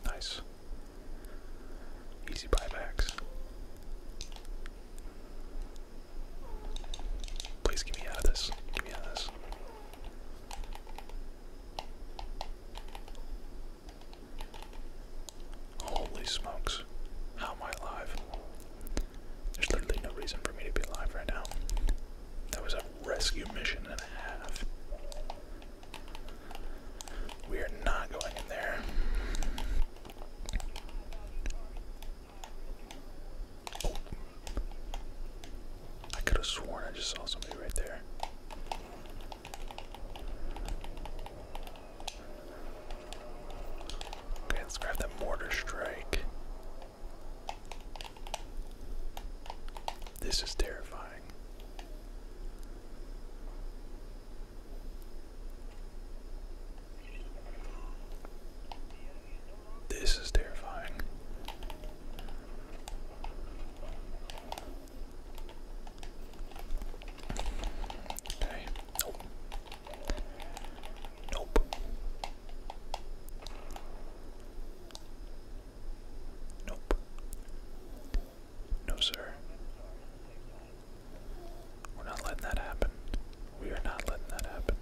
Nice. Easy buybacks. Please get me out of this. Get me out of this. Holy smokes. How am I alive? There's literally no reason for me to be alive right now. That was a rescue mission and a half. We are not going in there. Oh. I could have sworn I just saw somebody right there let's grab that mortar strike. This is terrifying. This is terrifying. Okay. Nope. Nope. No, sir. We're not letting that happen. We are not letting that happen.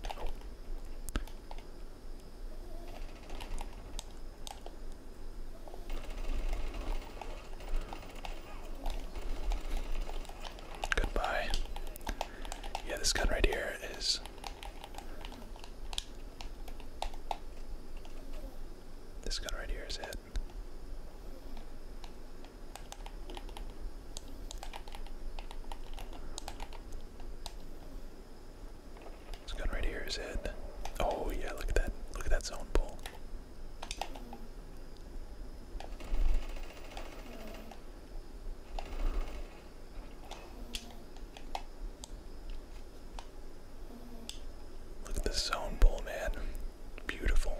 Goodbye. Yeah, this gun right here is. This gun right here is it. This gun right here is it. Oh yeah, look at that. Look at that zone pull. Look at this zone pull, man. Beautiful.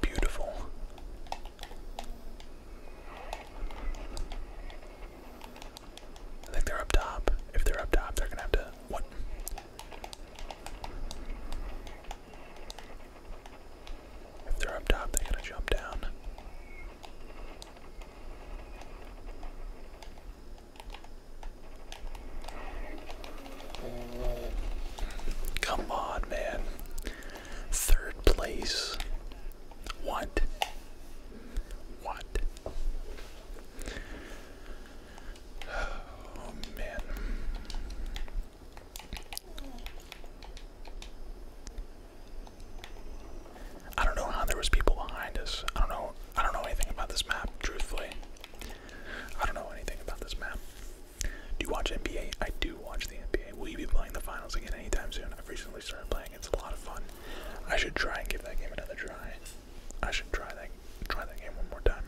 Beautiful. I think they're up top. If they're up top, they're gonna have to. What? If they're up top, they're to jump down. Come on, man. Third place. What? What? Oh man. I don't know how there was people behind us. I don't know I don't know anything about this map, truthfully. I don't know anything about this map. Do you watch NBA? I do watch the NBA. Will you be playing the finals again anytime soon? I've recently started playing. It's a lot of fun. I should try and give that game another try. I should try that try that game one more time.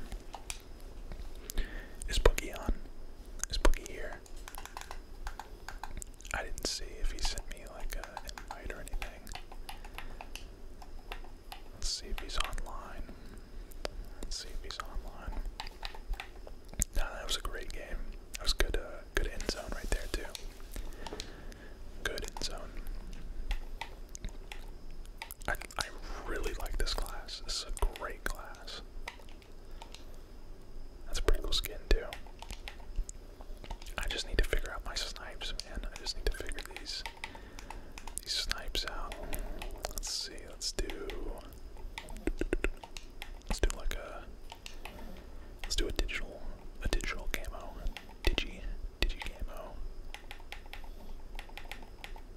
Is Boogie on? Is Boogie here? I didn't see if he sent me like an invite or anything. Let's see if he's online. Let's see if he's online. Nah, that was a great game. That was good. Uh, good end zone right there too good in zone. I, I really like this class. This is a great class. That's a pretty cool skin, too. I just need to figure out my snipes, man. I just need to figure these these snipes out. Let's see. Let's do. Let's do like a. Let's do a digital, a digital camo, digi, digi camo.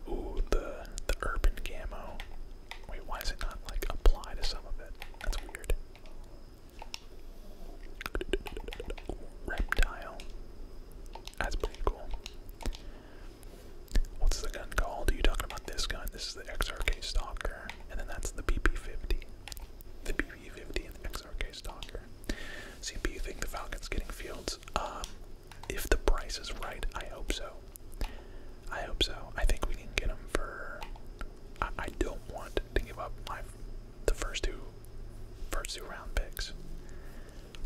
Ooh, the the urban camo. Wait, why is it not like apply to some of it? That's weird. reptile. That's pretty cool. What's the gun called? Are you talking about this gun? This is the XRK Stalker, and then that's the BP50. The BP50 and the XRK lowercase Docker. CP, you think the Falcons getting Fields? Um, if the price is right, I hope so. I hope so. I think we can get him for. I, don't want to give up my the first two, first two round picks.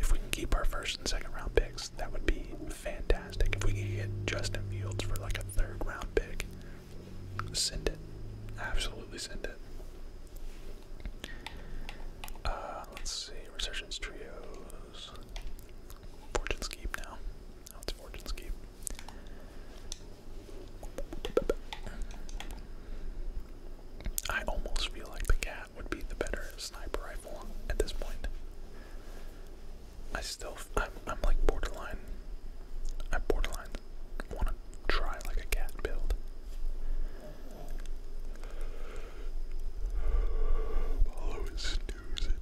If we can keep our first and second round picks, that would be fantastic. If we could get Justin Fields for like a third round pick, send it. Absolutely send it. Uh, let's see, Resurgence Trios. Fortune's Keep now. Oh, it's Fortune's Keep. I almost feel like the cat would be the better sniper rifle at this point. I still, I'm, I'm like borderline. I borderline want to try like a cat build. Malo is snoozing.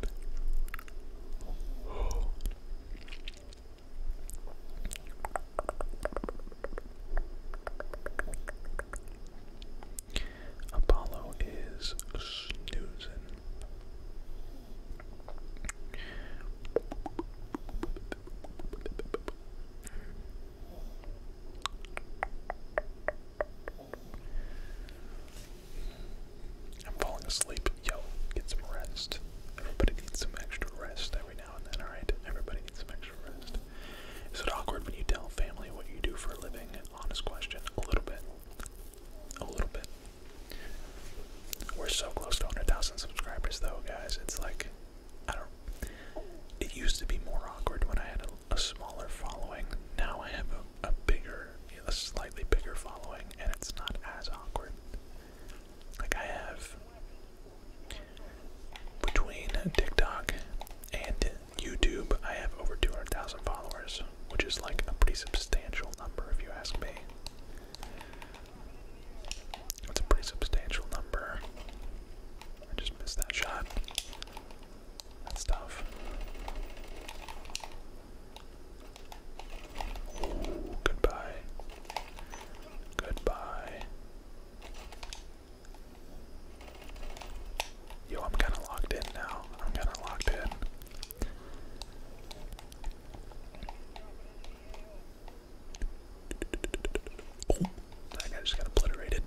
Apollo is snoozing. I'm falling asleep. Yo, get some rest. Everybody needs some extra rest every now and then, alright? Everybody needs some extra rest. Is it awkward when you tell family what you do for a living? Honest question. A little bit. A little bit. We're so close to 100,000 subscribers, though, guys. It's like, I don't. It used to be more awkward when I had a, smaller following. Now I have a, a bigger, a slightly bigger following, and it's not as awkward. Like I have between TikTok and YouTube, I have over 200,000 followers, which is like a pretty substantial number, if you ask me. It's a pretty substantial number. I just missed that shot. That's tough. goodbye. Goodbye. Yo, I'm kind of locked in now. I'm kind of locked in. Oh, that guy just got obliterated.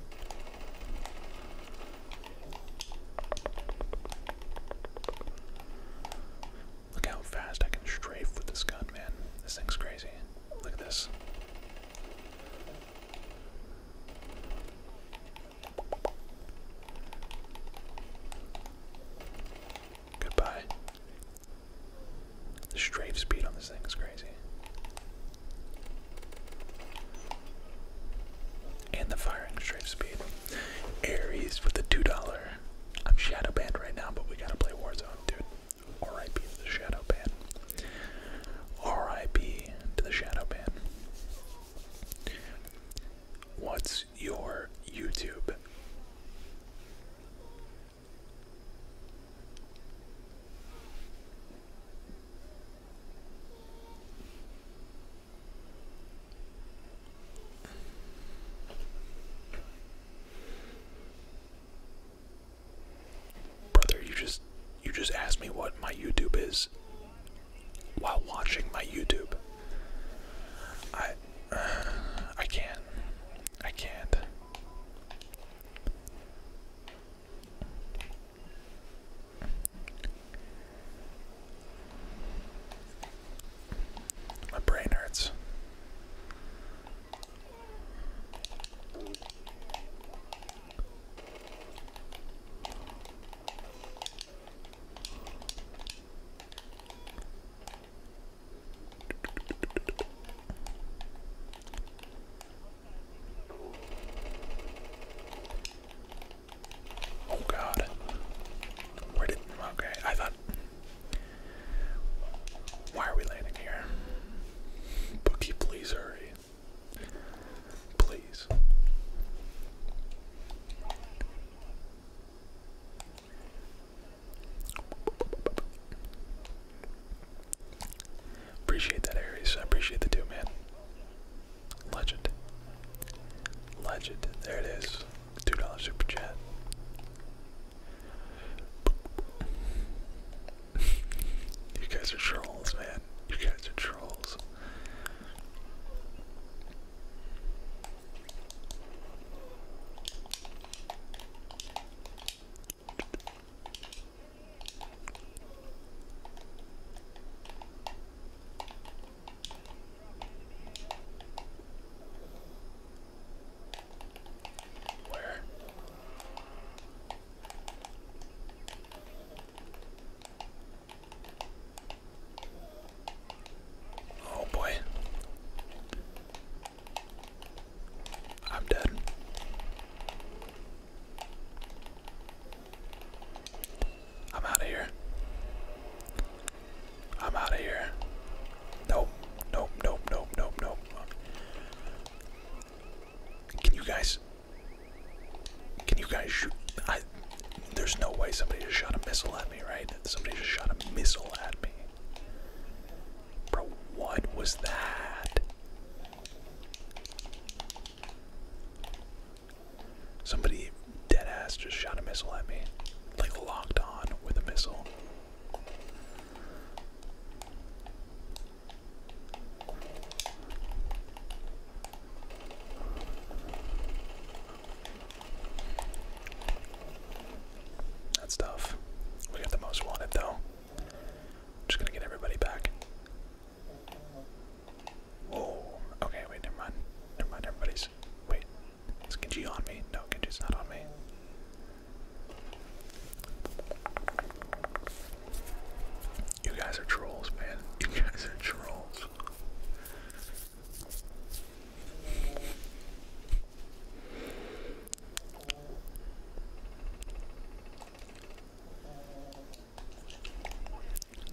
Look how fast I can strafe with this gun, man. This thing's crazy. Look at this. Goodbye. The strafe speed on this thing is crazy. And the firing strafe speed. Aries with the $2. I'm shadow band right now, but we gotta play Warzone, dude. R.I.P. to the shadow band. R.I.P. to the shadow band. What's your YouTube? Brother, you just you just asked me what my YouTube is while watching my YouTube. I I can't. I can't. My brain hurts. Oh god. Where did okay, I thought why are we landing here? Bookie, please hurry. Please. Appreciate that, Aries. I appreciate the two, man. Legend. Legend. There it is. $2 super chat. you guys are trolls, man. You guys are trolls. Where? Oh boy. I'm dead. I'm out of here. I'm out of here. Nope, nope, nope, nope, nope, nope. Can you guys? Can you guys shoot? I. There's no way somebody just shot a missile at me, right? Somebody just shot a missile at me. Bro, what was that? Somebody dead ass just shot a missile at me. Like locked on with a missile. That's tough. We got the most wanted though. Just gonna get everybody back. Oh, okay, wait, never mind. Never mind, everybody's. Wait, is Genji on me? No, Genji's not on me. You guys are trolls, man. You guys are trolls.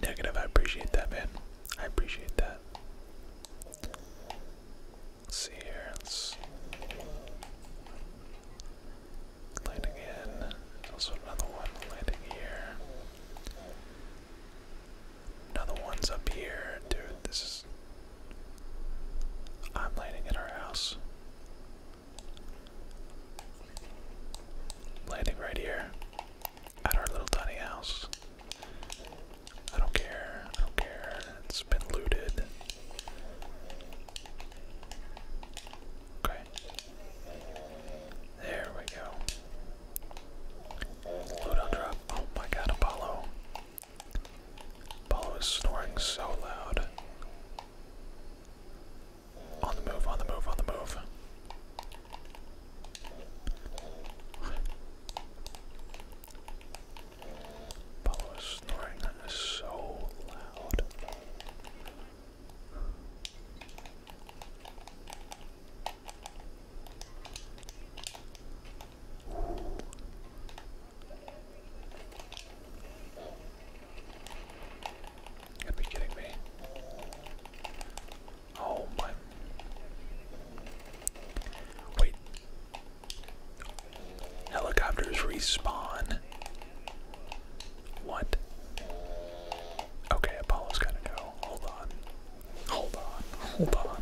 Negative, I appreciate that, man. I appreciate that. see here. Let's also another one landing here. Another one's up here. Dude, this is. I'm landing at our house. Landing right here at our little tiny house. I don't care, I don't care. It's been looted. Okay. There we go. Loadout drop. Oh my god, Apollo. Apollo is snoring so loud. On the move, on the move, on the move. Pablo is snoring so loud gotta be kidding me. Oh my. Wait. Helicopters respawn. What? Okay, Apollo's to go. Hold on. Hold on. Hold on.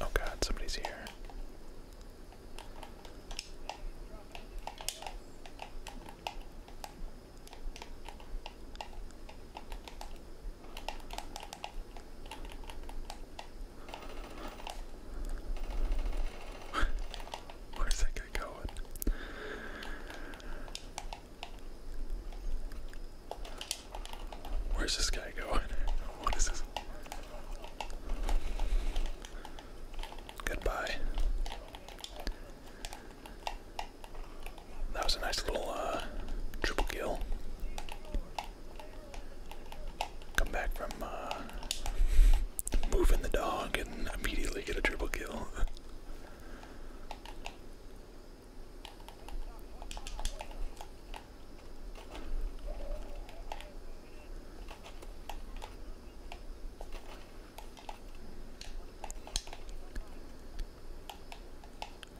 Oh god, somebody's here. Where's that going? Where's this guy going? What is this? Goodbye. That was a nice little uh, triple kill. Come back from uh, moving the dog and immediately get a triple kill.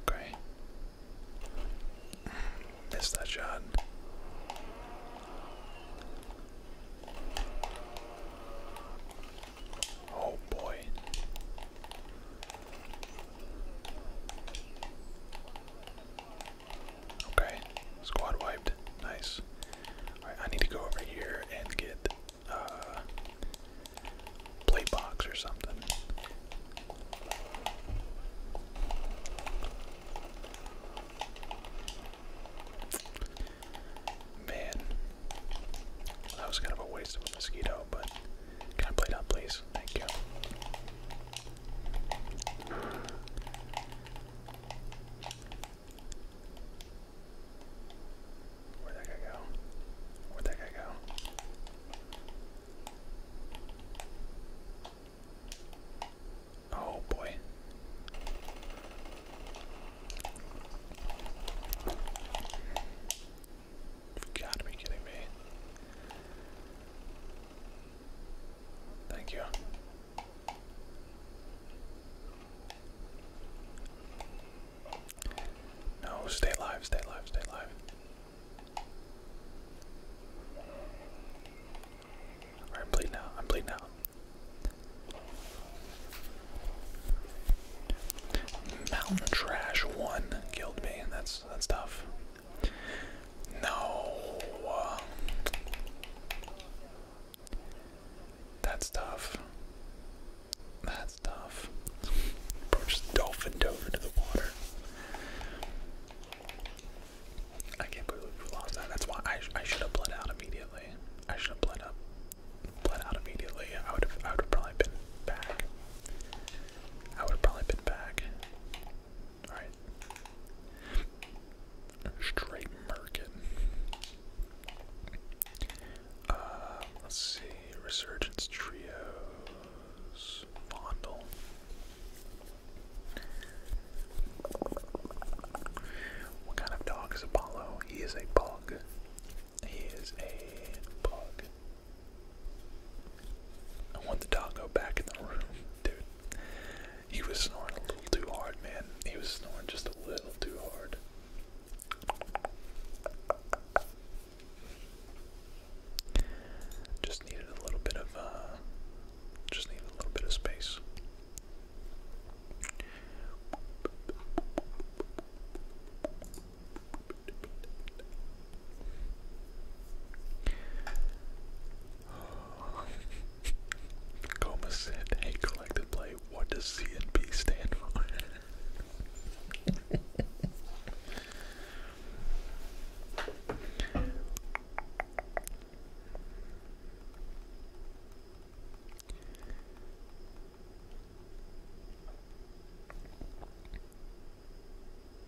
Okay. Missed that shot. Oh boy. Okay, squad wiped. Nice. I need to go over here and get uh play box or something. Man, that was kind of a waste of a mosquito, but can I play out. please? Thank you. Where'd that guy go? Where'd that guy go? Oh boy. You've got to be kidding me. Thank you. No, stay alive, stay alive, stay alive. I'm bleeding out, I'm bleeding out. Mountain Trash 1 killed me, that's that's tough. No. Um, that's tough. That's tough. just dolphin dove into the water. I can't believe we lost that. That's why I, I should have bled out immediately. I should have bled up, bled out immediately. I would have, I would have probably been back. I would have probably been back. Alright. Straight market. Uh, let's see. Resurgence Trios. Fondle. What kind of dog is Apollo? He is a bug. He is a bug. I want the doggo back in the room, dude. He was snoring a little too hard, man. He was snoring just a little too hard. Just needed a little bit of, uh, just needed a little bit of space. Goma said, hey, collected play, what does CNP stand for?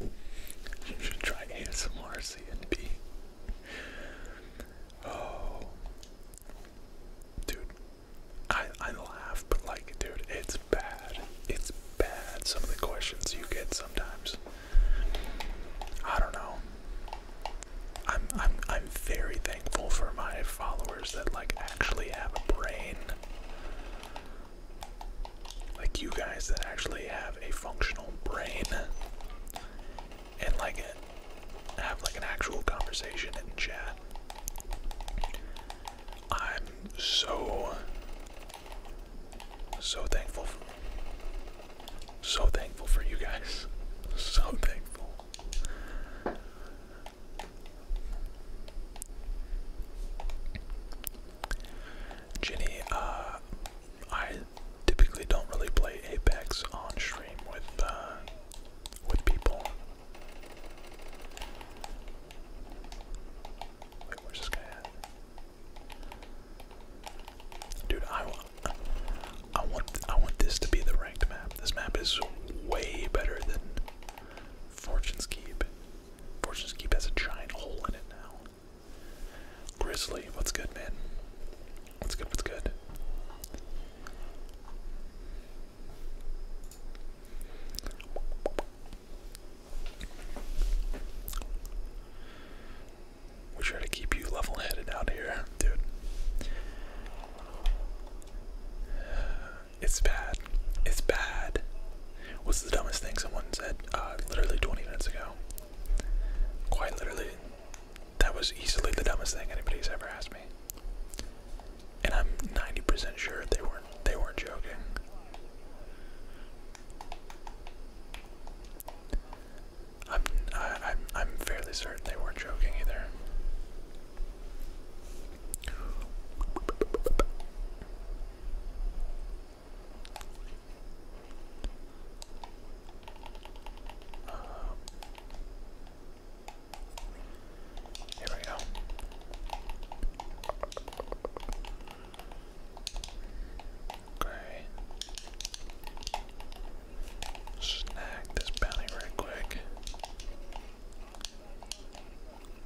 You should try ASMR C and B. Oh, dude, I I laugh, but like, dude, it's bad. It's bad. Some of the questions you get sometimes. I don't know. I'm I'm I'm very thankful for my followers that like actually have a brain like you guys that actually have a functional brain and like have like an actual conversation in chat. I'm so so thankful for so thankful for you guys. So thankful. Ginny, uh, I typically don't really play Apex on stream with uh, with people. Wait, where's this guy at? Dude, I want, I want, I want this to be the ranked map. This map is way better than Fortune's Keep. Fortune's Keep has a giant hole in it now. Grizzly, what's good, man? What's good, what's good? We try to keep you level headed out here, dude. It's bad. It's bad. What's the dumbest thing someone said uh, literally 20 minutes ago? Quite literally, that was easily the dumbest thing anybody's ever asked me. And I'm 90% sure they weren't they weren't joking. I'm I, am i I'm fairly certain they weren't joking either. Um, here we go. Okay. Snag this bounty right quick.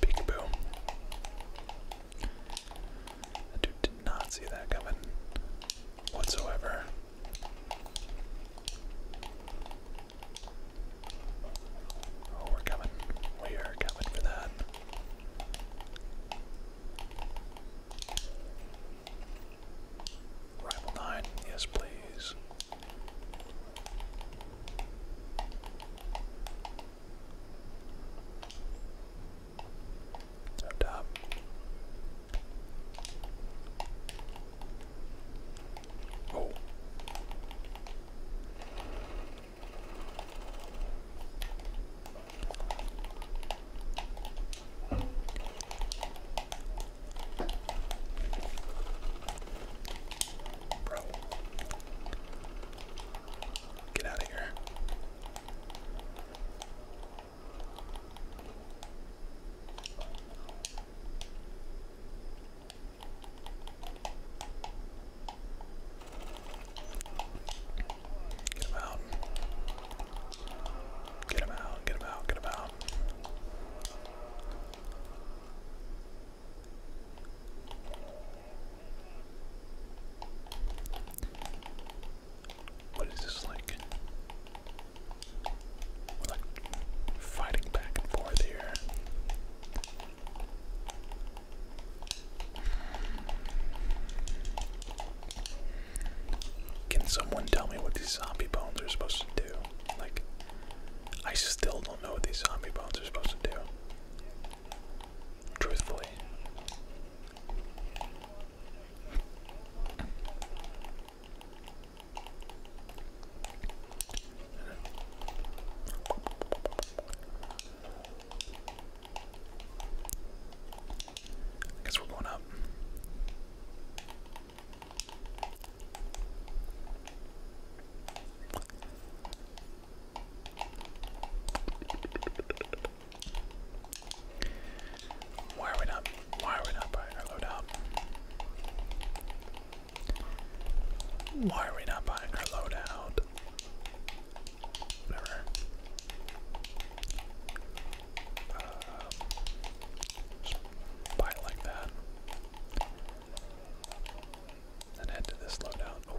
Peekaboo. That dude did not see that coming whatsoever. Oh, we're coming. We are coming for that. Rival 9, yes, please. Up top. Oh. Bro. Get out of here. Get him out. Get him out, get him out, get him out. What is this like? We're like fighting back and forth here. Can someone tell me what these zombie bones are supposed to do? Like, I still don't know what these zombie bones are supposed to do. Truthfully. I guess we're going up. Why are we not? Why are we not buying our loadout? Why are we not buying our loadout? Whatever. Um, buy it like that. Then head to this loadout. Oh,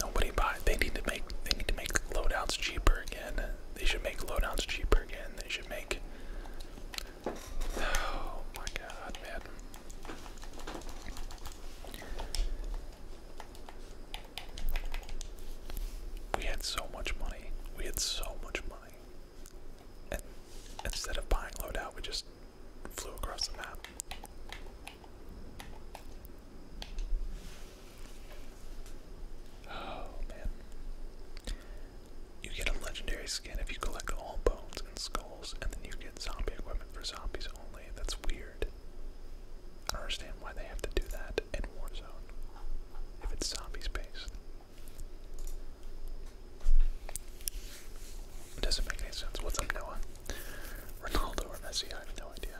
Nobody buy. They need to make. They need to make loadouts cheaper again. They should make loadouts cheaper again. They should make. Oh my god, man. We had so much money. We had so much money. And instead of buying loadout, we just flew across the map. Oh man. You get a legendary skin if you collect all bones and skulls, and then you get zombie equipment for zombies only. That's weird. I don't understand why they have to do that in Warzone if it's zombies based. It doesn't make any sense. What's up, Noah? Ronaldo or Messi? I have no idea.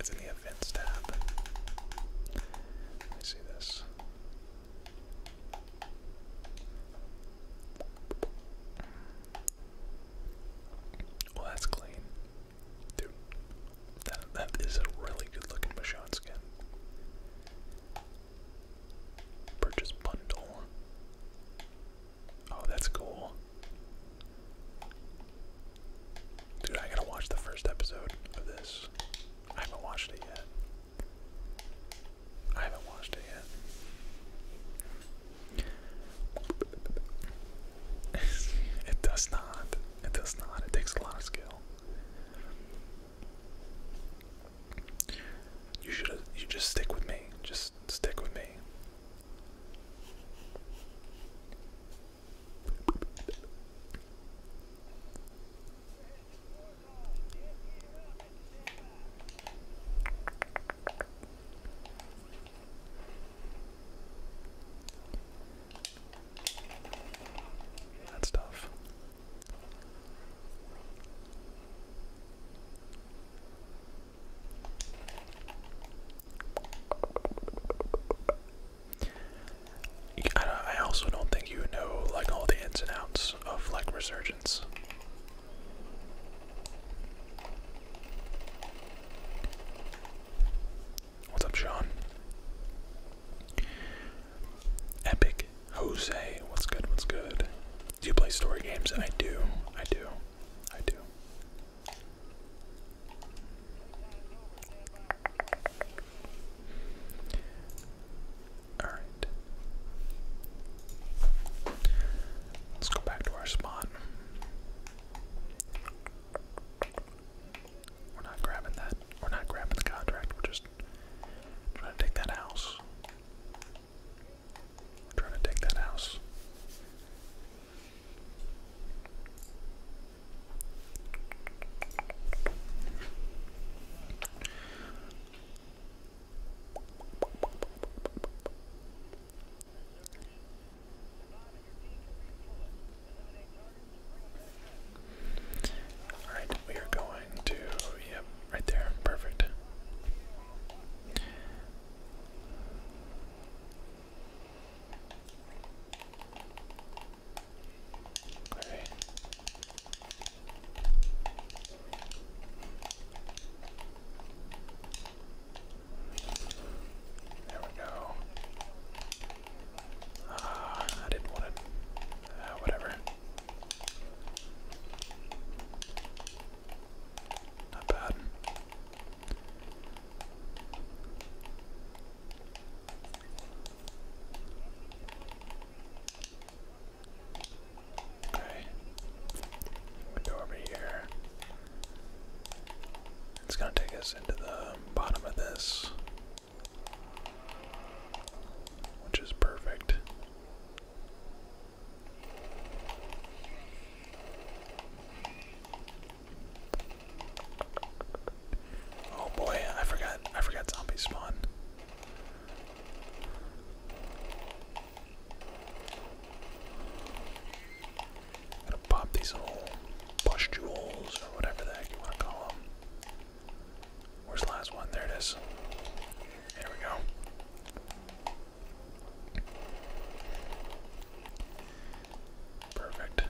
It's in the let me see this. Well, that's clean. Dude, that, that is a really good looking Bashan skin. Purchase bundle. Oh, that's cool. Dude, I gotta watch the first episode of this. I haven't watched it yet. I haven't watched it yet. it does not. It does not. It takes a lot of skill. You should you just stick with me. Just stick with me. That's tough. I, also don't think you know like all the ins and outs of like resurgence. What's up, Sean? Epic Jose, what's good? What's good? Do you play story games? I do. I do. I do. Alright. Let's go back to our spot. We're not grabbing that. We're not grabbing the contract. We're just trying to take that house. We're trying to take that house. All right, we are going to, yep, right there, perfect. Okay. There we go. Ah, uh, I didn't want it. Uh, whatever. Not bad. Okay. We over here. It's gonna take us into the bottom of this. Which is perfect. Oh boy, I forgot I forgot zombie spawn. gonna pop these little pustules or whatever the heck you wanna call them. Where's the last one? There it is. There we go. Perfect.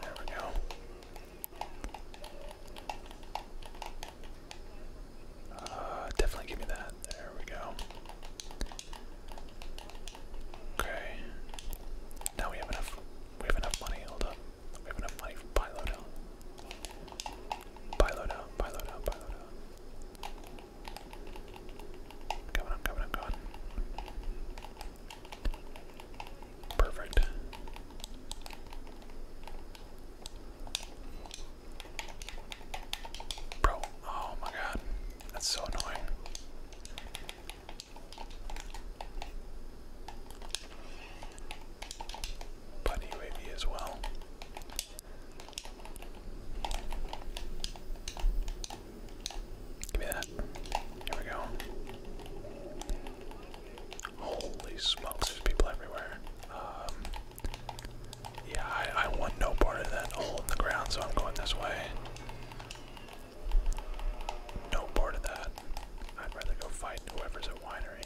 There we go. Uh, definitely give me that. There we go. Okay. Now we have enough. We have enough money. Hold up. We have enough money for Pilo down. Pilo down, Pilo down, coming, i coming, i Perfect. Bro, oh my god. That's so annoying. But UAV as well. Give me that. Here we go. Holy smokes, there's people everywhere. Um, yeah, I, I want no part of that hole in the ground, so I'm going this way. No part of that. I'd rather go fight whoever's the winery.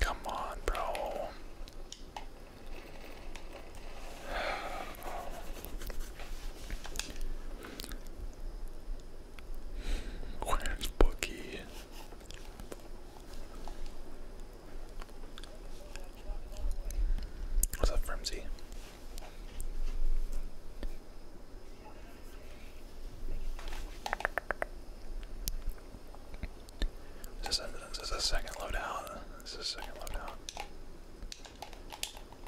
Come on, bro. Where's Bookie? What's up, Frimsy? this, is a second loadout? Is a second loadout?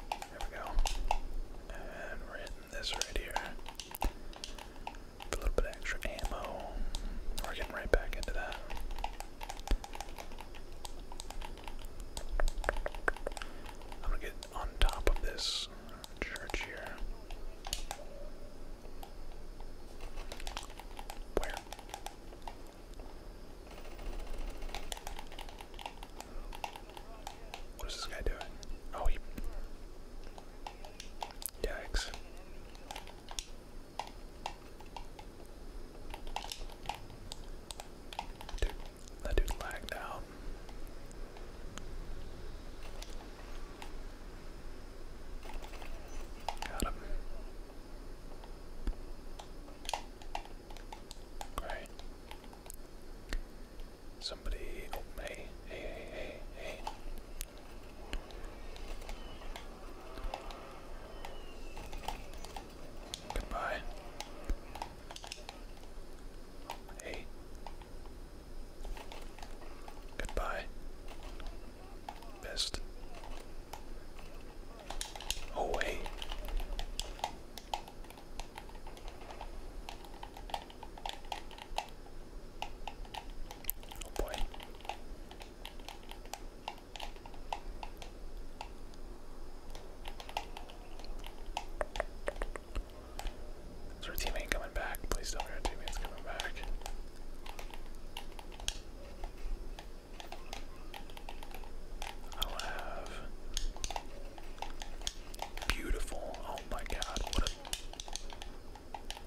There we go. And we this right here. A little bit extra ammo. We're getting right back into that. I'm gonna get on top of this church here. Where? What is this guy doing? Oh, he. Yikes. that dude lagged out. Got him. Great. Somebody, oh, hey, hey, hey, hey, hey. Goodbye. Hey. Goodbye. Best. Oh, hey. Oh boy. Is our teammate coming back? Please tell me our teammate's coming back i have beautiful. Oh my God! What a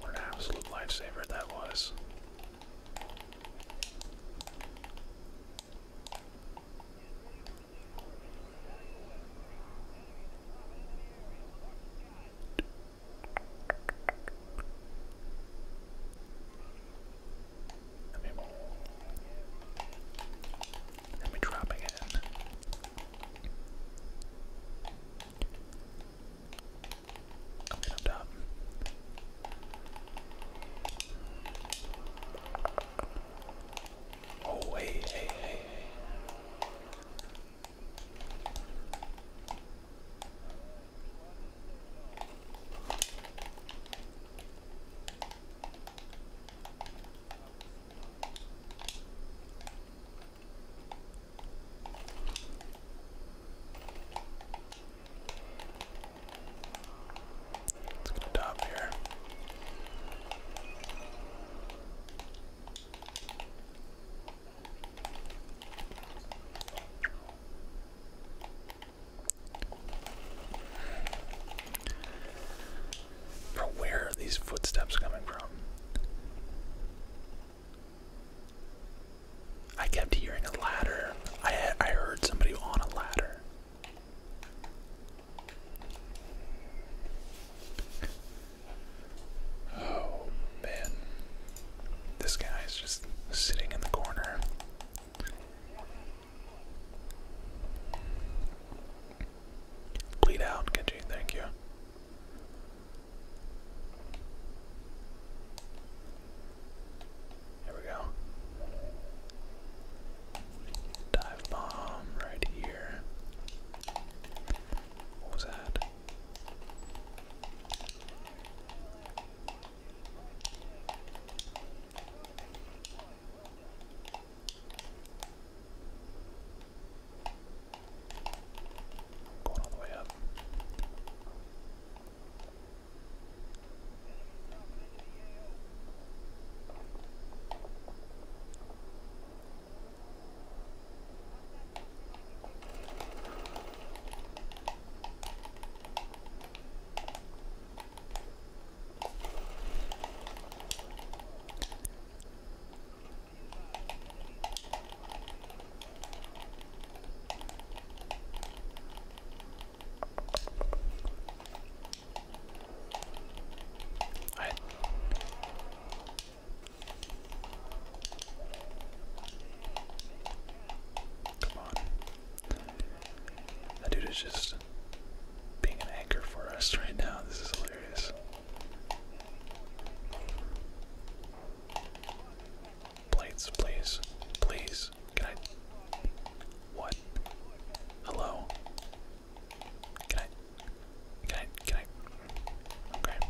what an absolute lifesaver that was. Let me, let me drop it Oh, hey, hey, hey. Let's get a top here. Bro, where are these footsteps coming from? I kept hearing a ladder. I I heard somebody on a ladder. Oh man, this guy is just sitting in the corner. Bleed out, Genji, thank you. There we go. Dive bomb right here. What was that? Going all the way up. Come on. That dude is just being an anchor for us right now. This is hilarious. Plates, please. Please. Can I. What? Hello? Can I. Can I. Can I. Okay.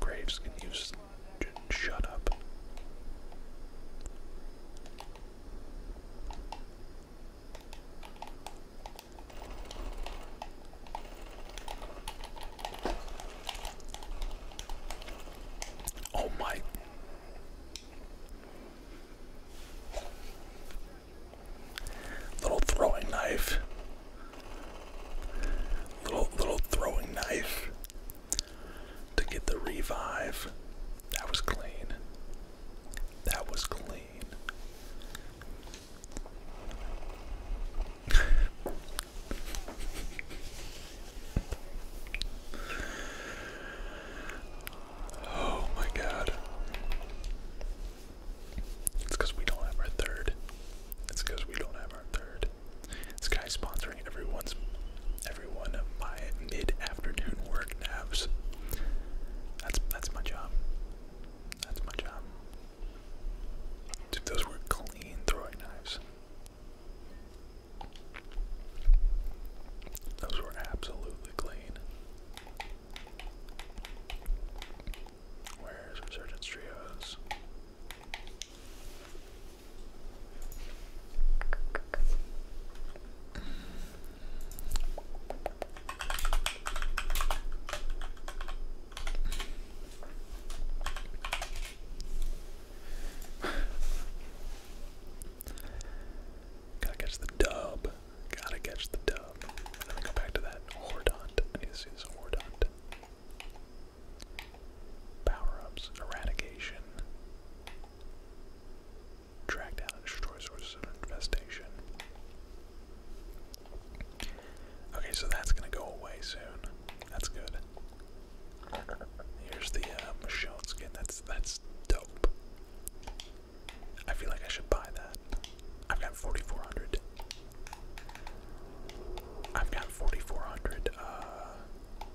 Graves can use shut up. Oh my Little throwing knife. Little little throwing knife to get the revive. That was clean. That was clean. Oh my god. It's because we don't have our third. It's because we don't have our third. This guy's sponsoring everyone's everyone my mid-afternoon work naps. That's that's my job. That's my job. Dude, those were clean throwing knives. Those were absolutely clean. Where's Resurgence Trios? Gotta catch the dub. Gotta catch the dub. And then go back to that Hordont. I need to see this Hordont. Power ups, eradication. Track down and infestation. Okay, so that's gonna go away soon. That's good. Here's the uh, Michonne skin. That's that's dope. I feel like I should buy that. I've got 4,400. I've got 4,400 uh,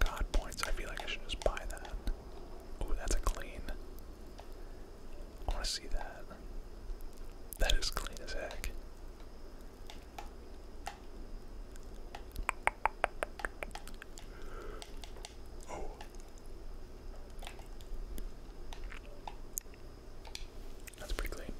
God points. I feel like I should just buy that. Oh, that's a clean. I want to see that. That is clean as heck. Oh. That's pretty clean.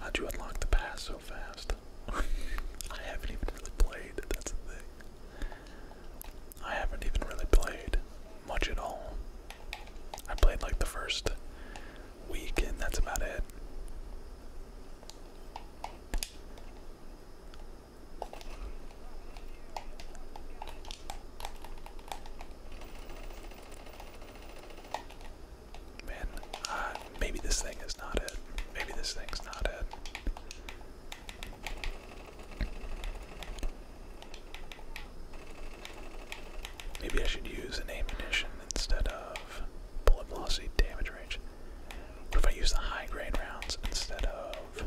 How'd you unlock the pass so fast? I haven't even really played, that's the thing. I haven't even really played much at all. I played like the first week, and that's about it. Man, maybe this thing is not it. Maybe this thing's not it. Maybe I should use an ammunition instead of bullet velocity damage range? What if I use the high grade rounds instead of.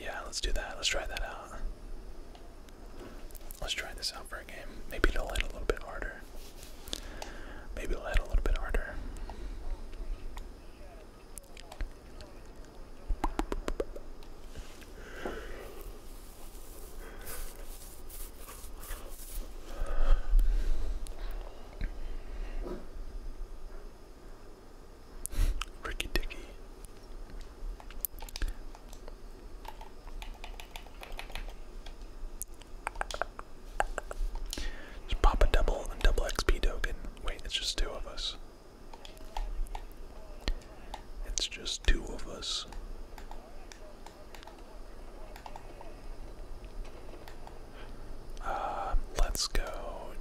Yeah, let's do that. Let's try that out. Let's try this out for a game. Maybe it'll hit a little bit harder. Maybe it'll hit a little bit harder. Ricky Dicky. Just pop a double and double XP token. Wait, it's just two of us. It's just two of us. Um, let's go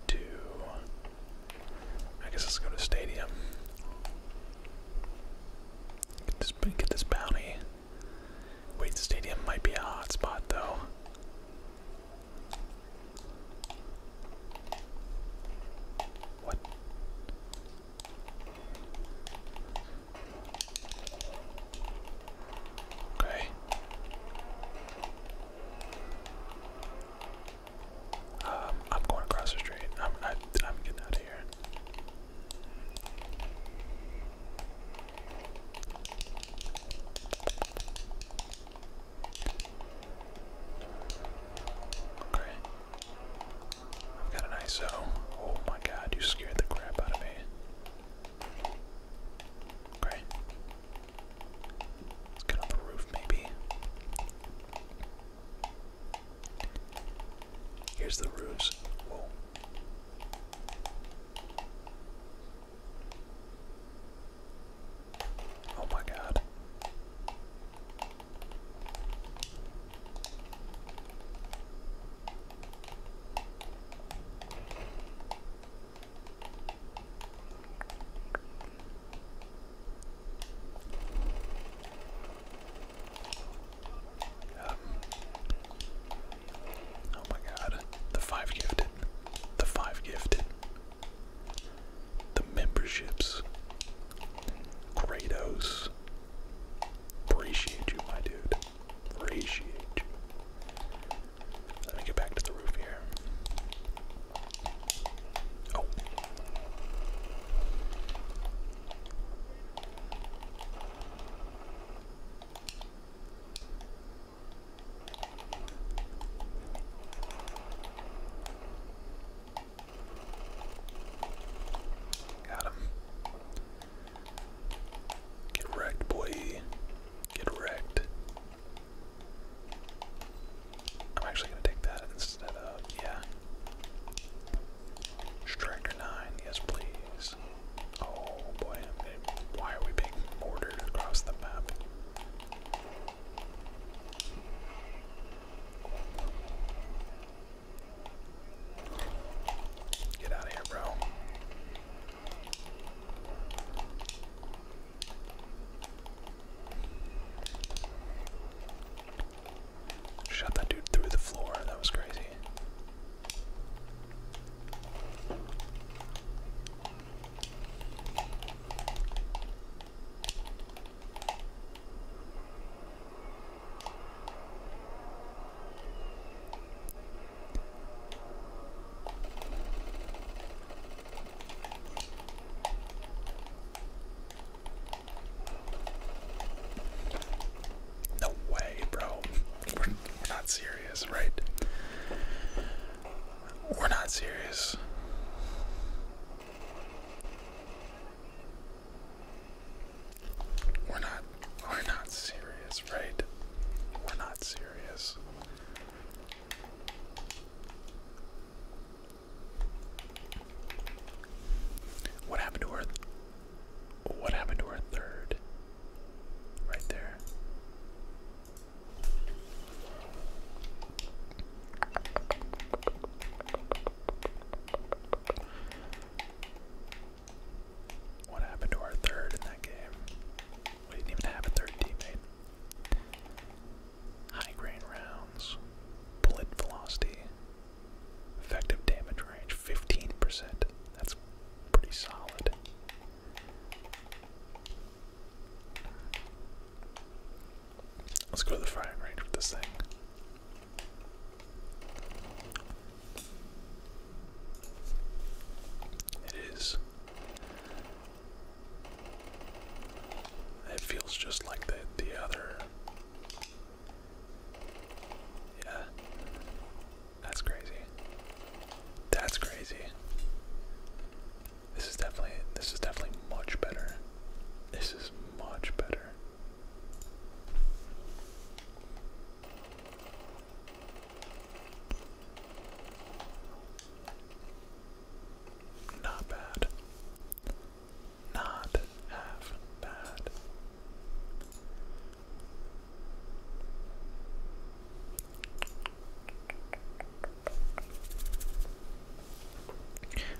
to. I guess let's go to Stadium. Get this, bounty. Wait, Stadium might be a hot spot though. What? Okay. Um, I'm going across the street. I'm I, am i am getting out of here. Okay. I've got an ISO. Oh my god, you scared the crap out of me. Okay. Let's get the roof, maybe. Here's the roofs. Whoa. Oh my god. Um, oh my god. The five gifted. The five gifted. The memberships. Kratos. Appreciate you, my dude. Appreciate you. Let me get back to the roof here. Oh. Got him. Get wrecked, boy. Get wrecked. I'm actually gonna take that instead of yeah. Striker nine, yes please. Oh boy, why are we being mortared across the map? Get out of here, bro. Shot that dude through the floor. That was crazy. No way, bro. We're, not serious, right? We're not serious. We're not we're not serious, right? We're not serious. What happened to our what happened to our third? Right there. What happened to our third in that game? We didn't even have a third teammate. High grain rounds, bullet velocity, effective damage range 15%. That's pretty solid. Let's go to the firing range with this thing. It is. It feels just like the the other. Yeah. That's crazy. That's crazy. This is definitely this is definitely much better. This is much better. Not bad. Not half bad.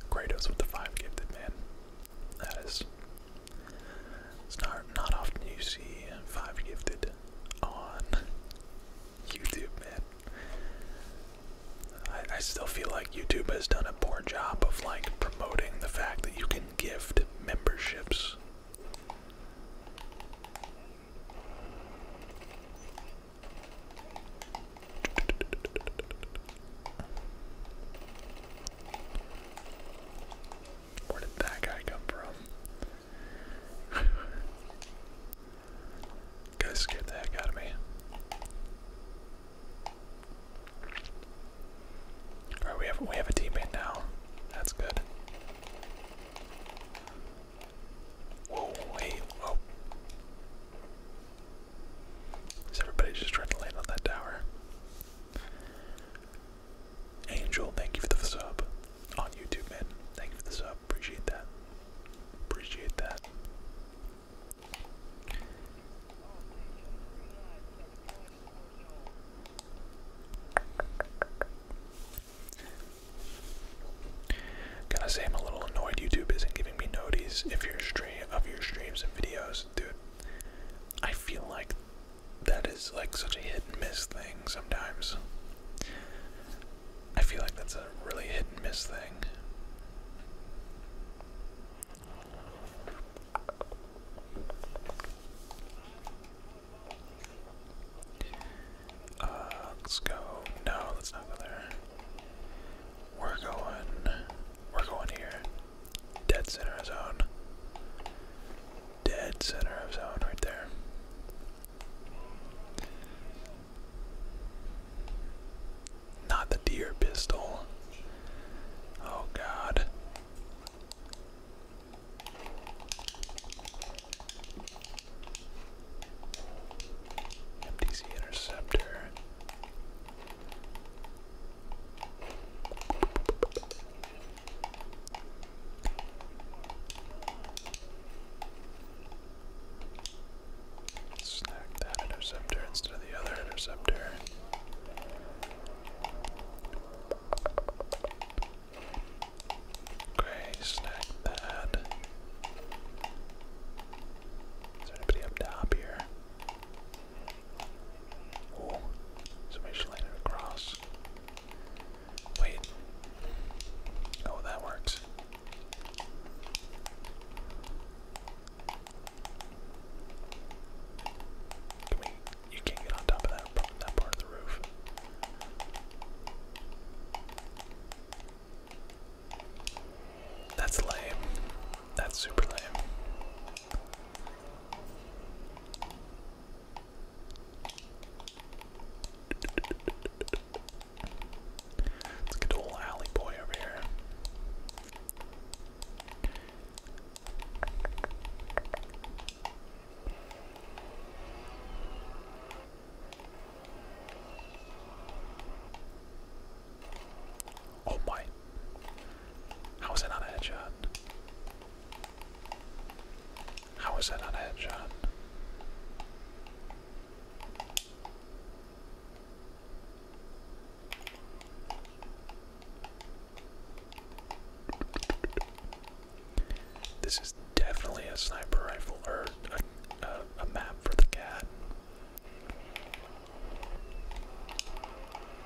Kratos with the five gifted man. That is it's not not often you see five gifted on YouTube, man. I, I still feel like YouTube has done a poor job of like promoting the fact that you can gift memberships. Where did that guy come from? Guy scared the heck out of me. Alright, we have we have a teammate now. That's good. Whoa, wait, whoa. Is everybody just trying to land on that tower? Angel, thank you for the sub. On YouTube, man. Thank you for the sub. Appreciate that. Appreciate that. Gotta say, I'm a little annoyed YouTube isn't giving me notice if your stream of your streams and videos, dude. I feel like that is like such a hit and miss thing sometimes. I feel like that's a really hit and miss thing. Uh, let's go. No, let's not go there. We're going. We're going here. Dead center of zone. Dead center of zone right there. Not the deer pistol. Oh god. MTC interceptor. Snack that interceptor instead of the other interceptor. Okay, snack that. Is there anybody up top here? Oh, somebody should land it across. Wait. Oh, that works. you can't get on top of that part of the roof. That's lame. That's super lame. Let's get alley boy over here. Oh my! How was it not how is that not a headshot? This is definitely a sniper rifle or a map for the cat.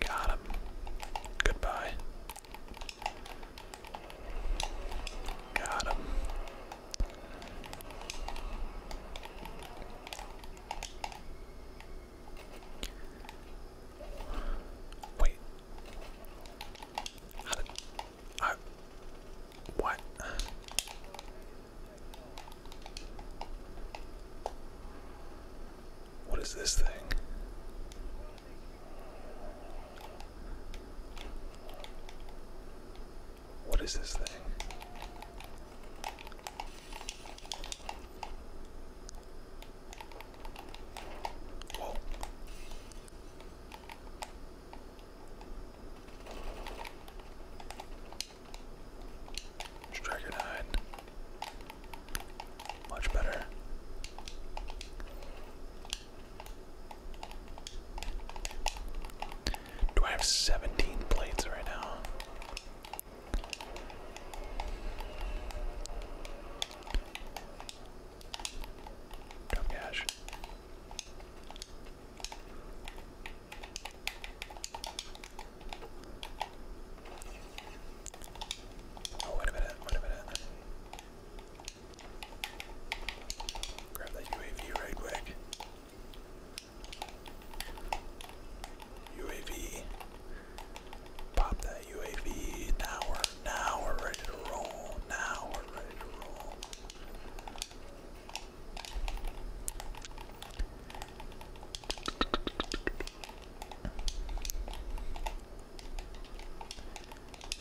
Got him. Goodbye. Got him. Wait. How what? What is this thing? What is this thing? Whoa. Striker nine. Much better. Do I have 17 plates right now? Drop cash. Oh, wait a minute, wait a minute. Grab that UAV right quick. UAV. Pop that UAV. Now we're, now we're ready to roll. Now we're ready to roll.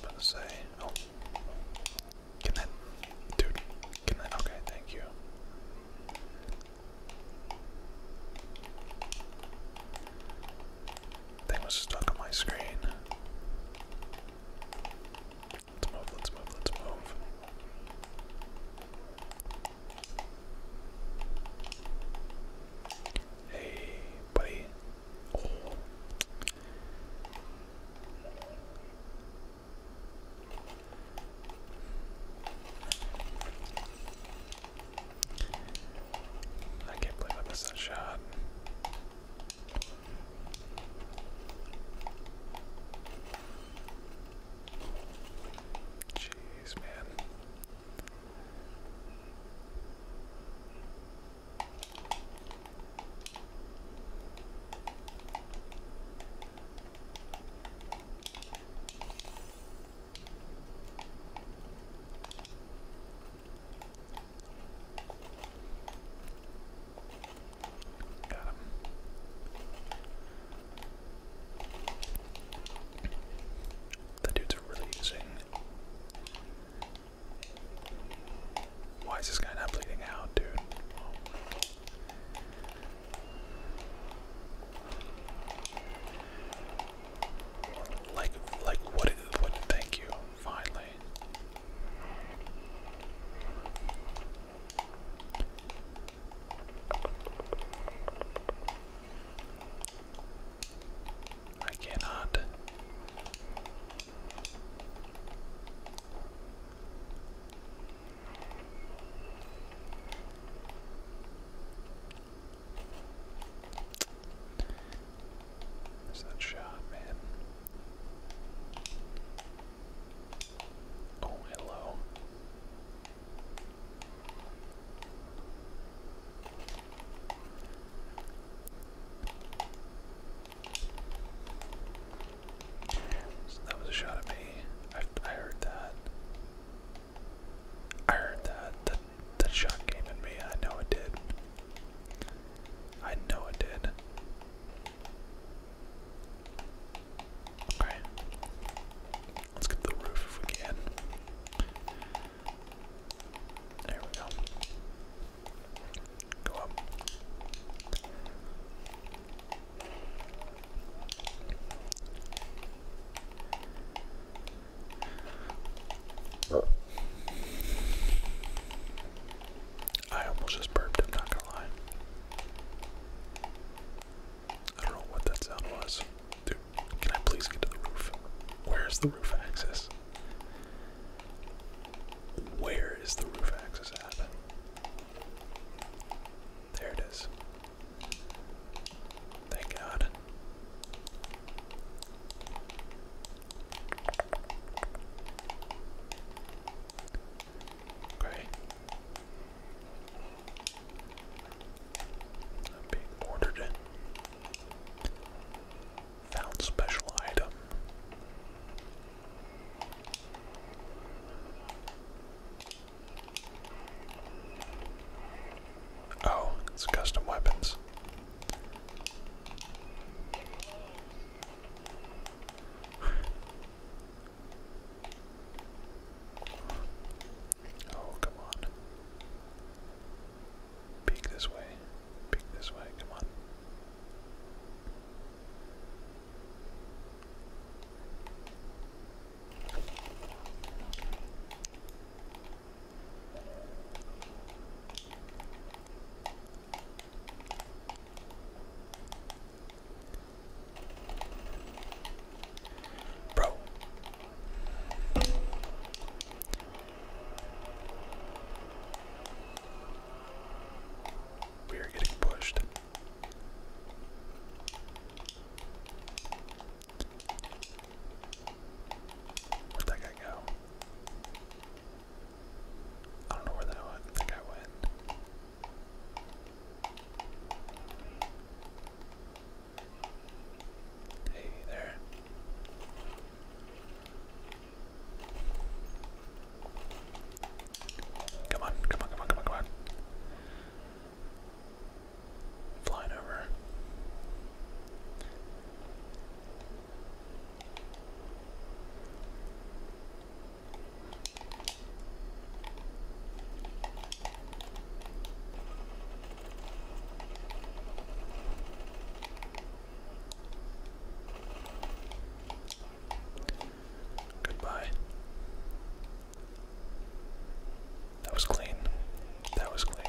About to say, oh, can that, dude? Can that? Okay, thank you. Thing was stuck on my screen. Let's move. Let's move. Let's move. Hey, buddy. Oh. I can't believe I missed that shot. Jeez, man. Got him. The dudes are really using why is this guy not bleeding out, dude? Like, like what? Thank you. Finally. I cannot. There's that shot, man. Oh, hello that was a shot at me. I, heard that. I heard that. that. That shot came at me. I know it did. I know it did. Okay. Let's get the roof if we can. There we go. Go up. I almost just burped, I'm not gonna lie. I don't know what that sound was can I please get to the roof? Where is the roof access? Where is the roof access at? There it is. Thank God. Okay. I'm being ordered. In. Found special item. Oh, it's custom weapons. Oh, come on. Peek this way. Peek this way. Come on. Bro, we are getting pushed. Where'd that guy go? I don't know where that went. That guy went. Hey there. Come on, come on, come on, come on, come on. Flying over. Goodbye. That was clean. That was clean.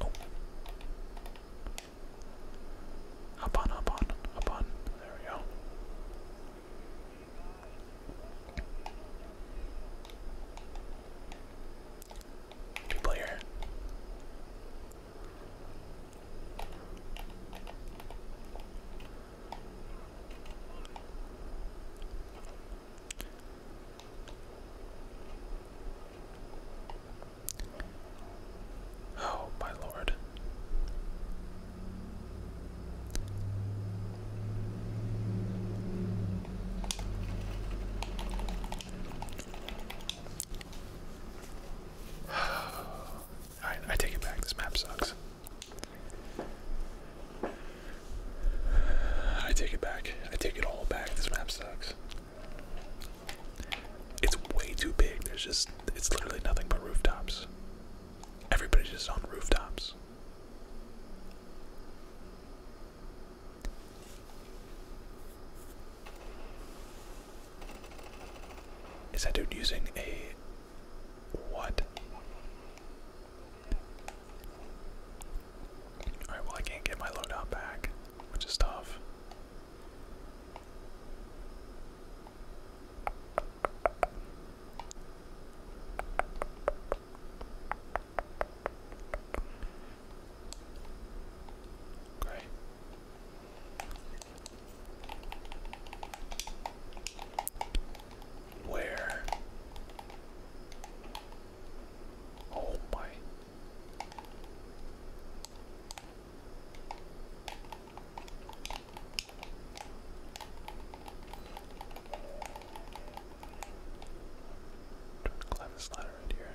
oh. on, hop on, hop on. There we go. Two player. Oh, my lord. Alright, I take it back. This map sucks. I take it back. I take it all back. This map sucks. It's way too big. There's just, it's literally nothing but rooftops. Everybody's just on rooftops. Is that dude using a what? Alright, well, I can't get my loadout back, which is tough. Great. Where? Oh my. Clevis ladder right here.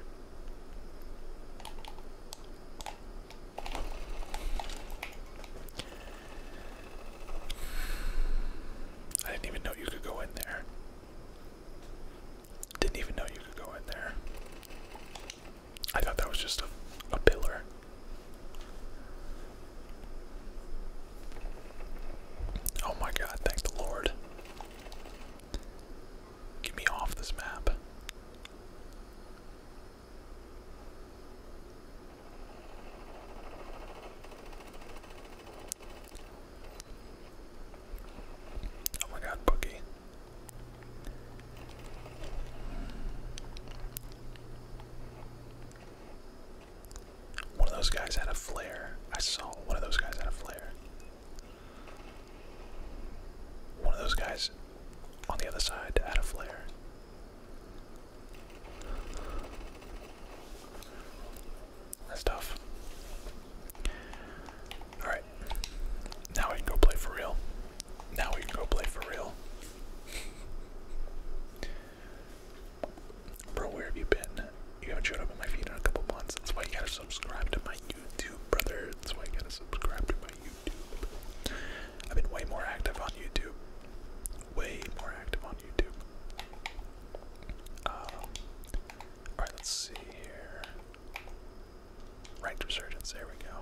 I didn't even know you could go in there. Didn't even know you could go in there. I thought that was just a, a pillar. Oh my god, thank the Lord. Get me off this map. Oh my god, Boogie. One of those guys had a flare. I saw one of those guys had a flare. One of those guys on the other side had a flare. That's tough. Alright. Now we can go play for real. Now we can go play for real. Bro, where have you been? You haven't showed up on my feed in a couple months. That's why you gotta subscribe to my YouTube, brother. That's why you gotta subscribe to my YouTube. I've been way more active on YouTube. Way more active on YouTube. Um, alright, let's see here. Ranked Resurgence, there we go.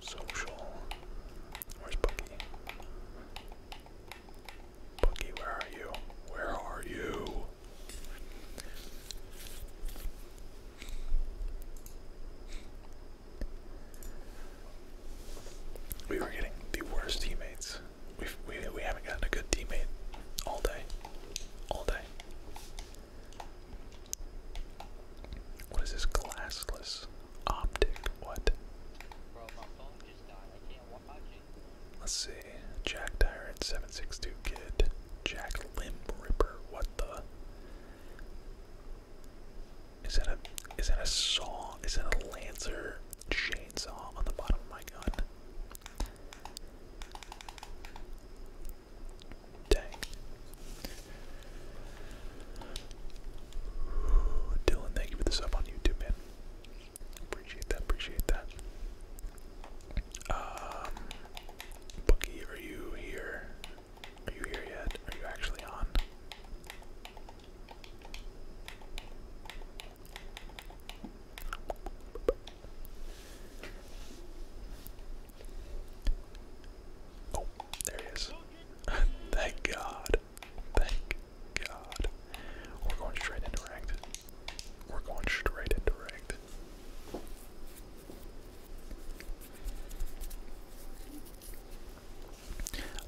Social. Where's Boogie? Boogie, where are you? Where are you? We were getting the worst teammates. We've, we we haven't gotten a good teammate all day, all day. What is this glassless? Optic, what? Let's see. Jack Tyrant, 762 Kid. Jack Limb Ripper, what the? Is that a is that a saw? Is that a lancer chainsaw on the bottom of my gun? Dang. Dylan, thank you for the sub on YouTube, man. Appreciate that, appreciate that. Um, are you here? Are you here yet? Are you actually on? Oh, there he is. Thank God. Thank God. We're going straight into ranked. We're going straight into ranked.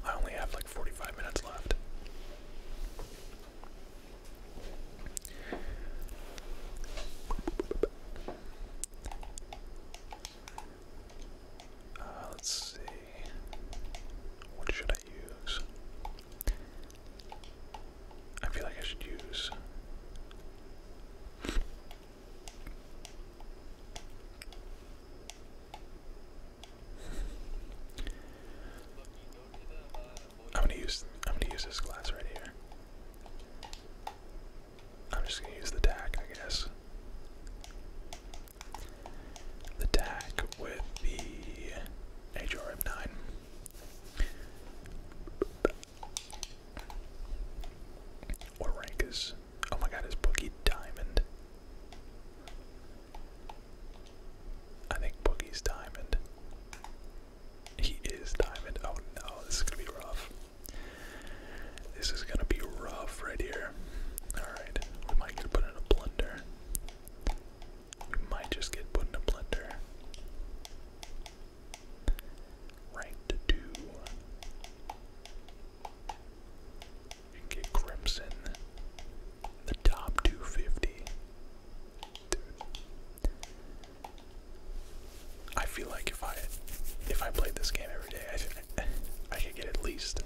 I only have like 45 minutes left. Uh, let's see. What should I use? I feel like I should use. I'm gonna use I'm gonna use this glass right here. I'm just gonna use the tack, I guess the TAC with the HRM9. What rank is. Oh my god, is Boogie Diamond? I think Boogie's Diamond. He is Diamond. Oh no, this is gonna be rough. This is gonna be rough right here. Alright, we might get put in a blunder. You might just get put in a blender. Ranked two. You can get Crimson. The top 250. Dude. I feel like if I if I played this game every day, I I could get at least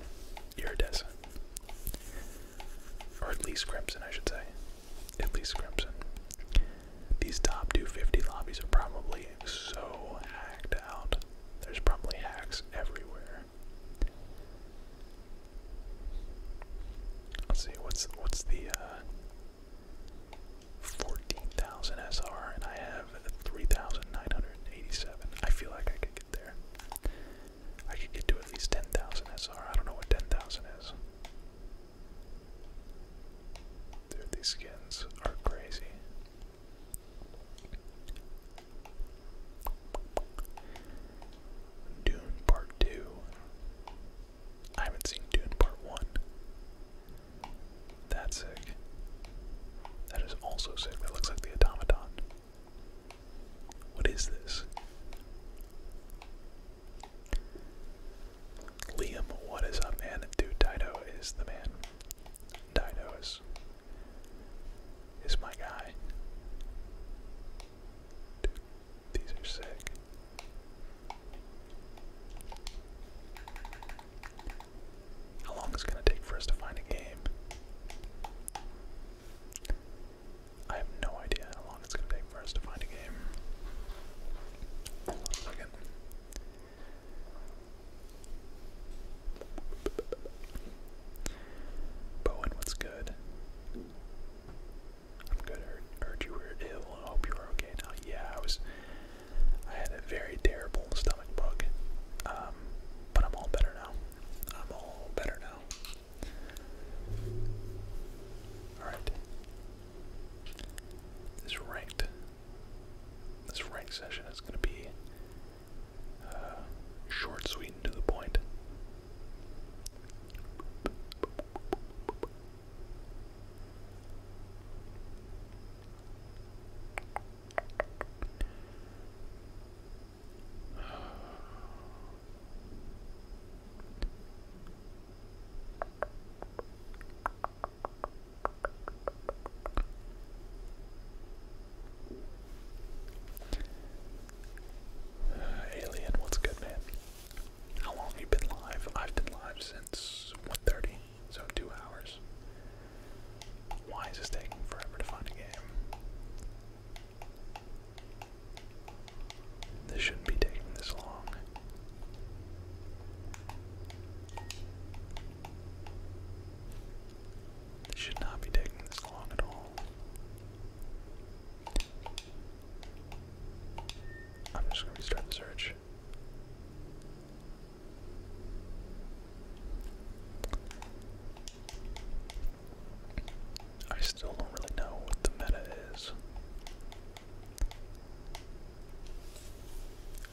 iridescent. Or at least Crimson, I should say. At least Crimson. These top 250 lobbies are probably so hacked out. There's probably hacks everywhere. Let's see, what's what's the uh, 14,000 SR and I have 3,987. I feel like I can get there. I could get to at least 10,000 SR. I don't know what 10,000 is. Dude, these skins are crazy. Dune Part 2. I haven't seen Dune Part 1. That's sick. That is also sick. That looks like the automaton. What is this? Liam, what is up, man? Dude, Dido is the man. Dido is is my guy. these are sick. How long is gonna take for us to find a game? I have no idea how long it's going to take for us to find a game. Bowen, what's good? I'm good. Heard, you were ill. I hope you are okay now. Yeah, I was. I had a very terrible stomach bug, um, but I'm all better now. I'm all better now. Alright. This ranked this ranked session is gonna be uh, short, sweet, and to the point. Alien, what's good, man? How long have you been live? I've been live since one thirty, so two hours. Why is this taking forever to find a game? This shouldn't be taking this long. This should not be taking this long at all. I'm just going to restart the search. I still don't really know what the meta is.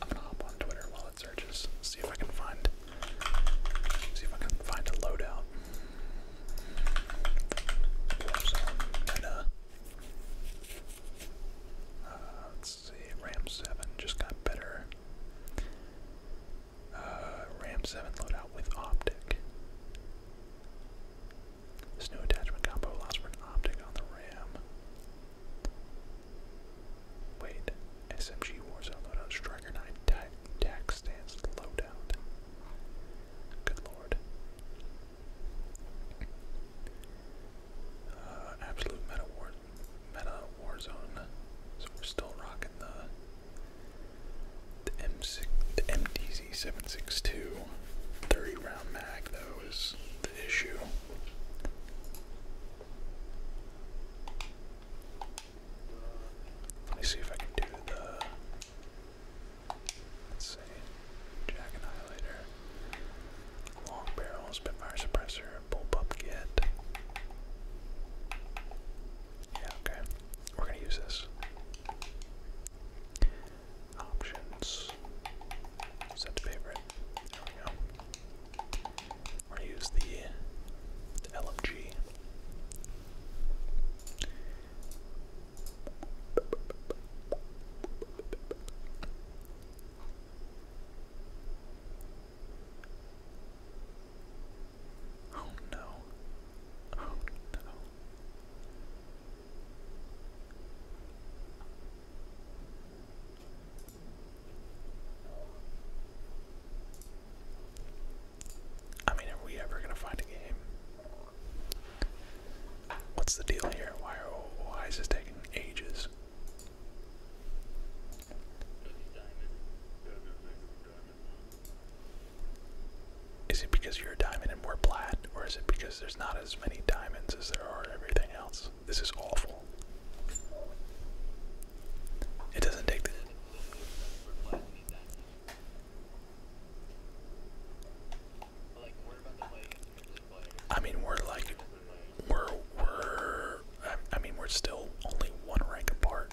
I'm gonna hop on Twitter while it searches, see if I can find see if I can find a loadout. Meta. Uh, let's see, Ram 7 just got better. Uh, Ram 7 loadout with optic. This attachment combo allows for an optic on the Ram. Wait, SMG Warzone loadout, Striker 9 tac, tac stance loadout. Good lord. Uh, absolute meta war, meta warzone. So we're still rocking the the M6, the MDZ 762 round mag though is the issue. Let me see if I can do the. Let's see. Jack Annihilator. Long barrel, Spitfire Suppressor, Bullpup Get. Yeah, okay. We're going to use this. Options. Set to favorite. There we go. We're going to use the, LMG. Oh no. Oh no. I mean, are we ever going to find a game? What's the deal here? Why, why is this taking ages? Is it because you're a diamond and we're plat, or is it because there's not as many diamonds as there are everything else? This is awful. It doesn't take the. I mean, we're like, we're we're. I mean, we're still only one rank apart.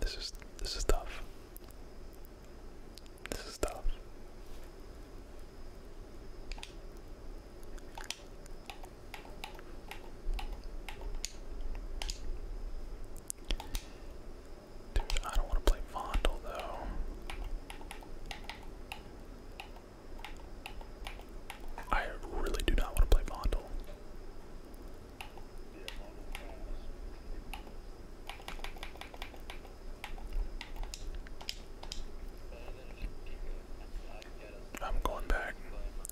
This is this is tough. This is tough. Dude, I don't want to play Vondel though. I really do not want to play Vondel. I'm going back.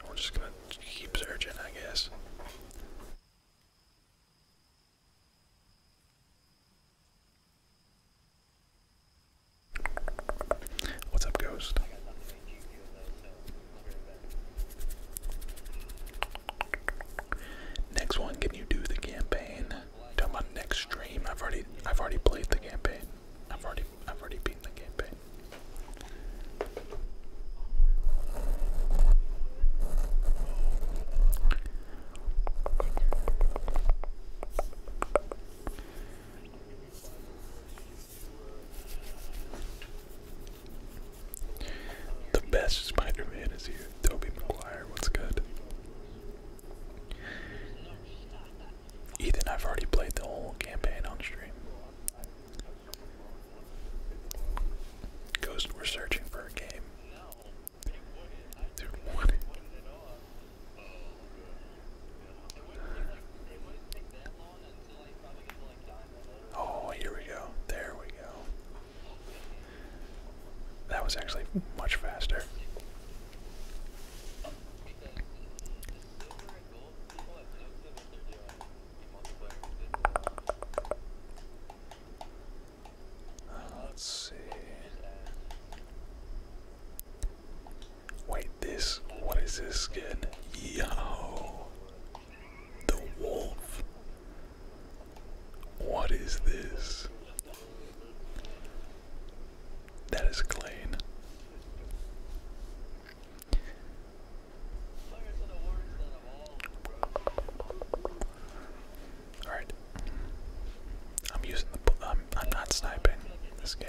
We're just gonna keep searching, I guess. What's up, Ghost? Next one, can you do the campaign? Talking about next stream. I've already I've already played the campaign. I've already I've already beaten the campaign. The best Spider-Man is here. Toby McGuire, what's good? Ethan, I've already played the whole campaign on stream. Ghost, we're searching for a game. Dude, what? Oh, here we go. There we go. That was actually much faster. Uh, let's see. Wait, this. What is this skin? Yo. The wolf. What is this? That is clean. All right. I'm using the. I'm, I'm not sniping in this game.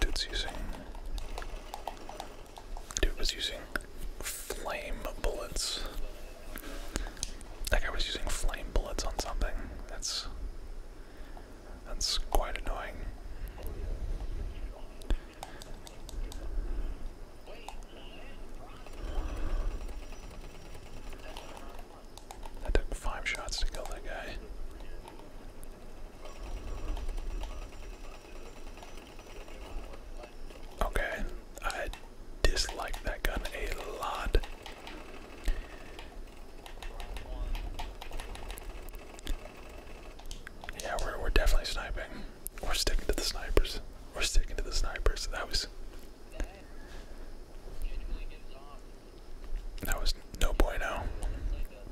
Dude's using. Dude was using flame bullets. That guy was using flame bullets on something. That's. That's quite annoying. That took five shots to kill that guy. Okay, I dislike that gun a lot. Yeah, we're we're definitely sniping. We're sticking to the snipers. We're sticking to the snipers. That was that was no bueno.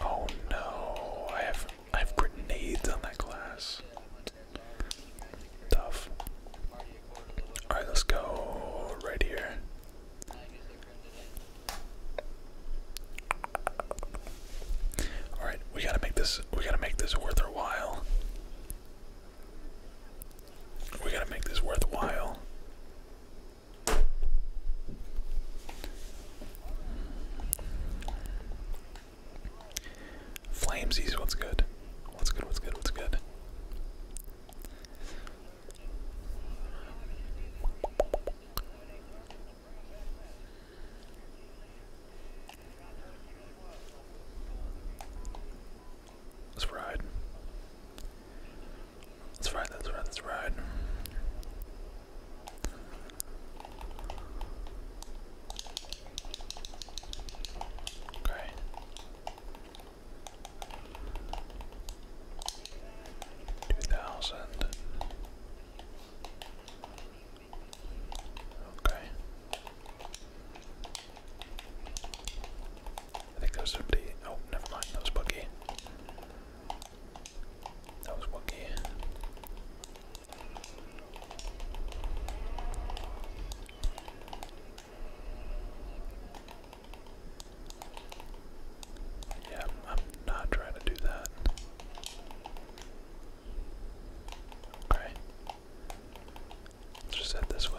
Oh no, I have I have grenades on that glass. Tough. Alright, let's go right here. Alright, we gotta make this we gotta make this worth our while. We gotta make this worth while. Flamesies, what's good? What's good, what's good, what's good? Let's ride. That's right. That's right. That's right. Okay. Two thousand. Okay. I think there's somebody. Oh, never mind. That was Bucky. That was Bucky. Yeah, I'm not trying to do that. Okay. Let's just head this way.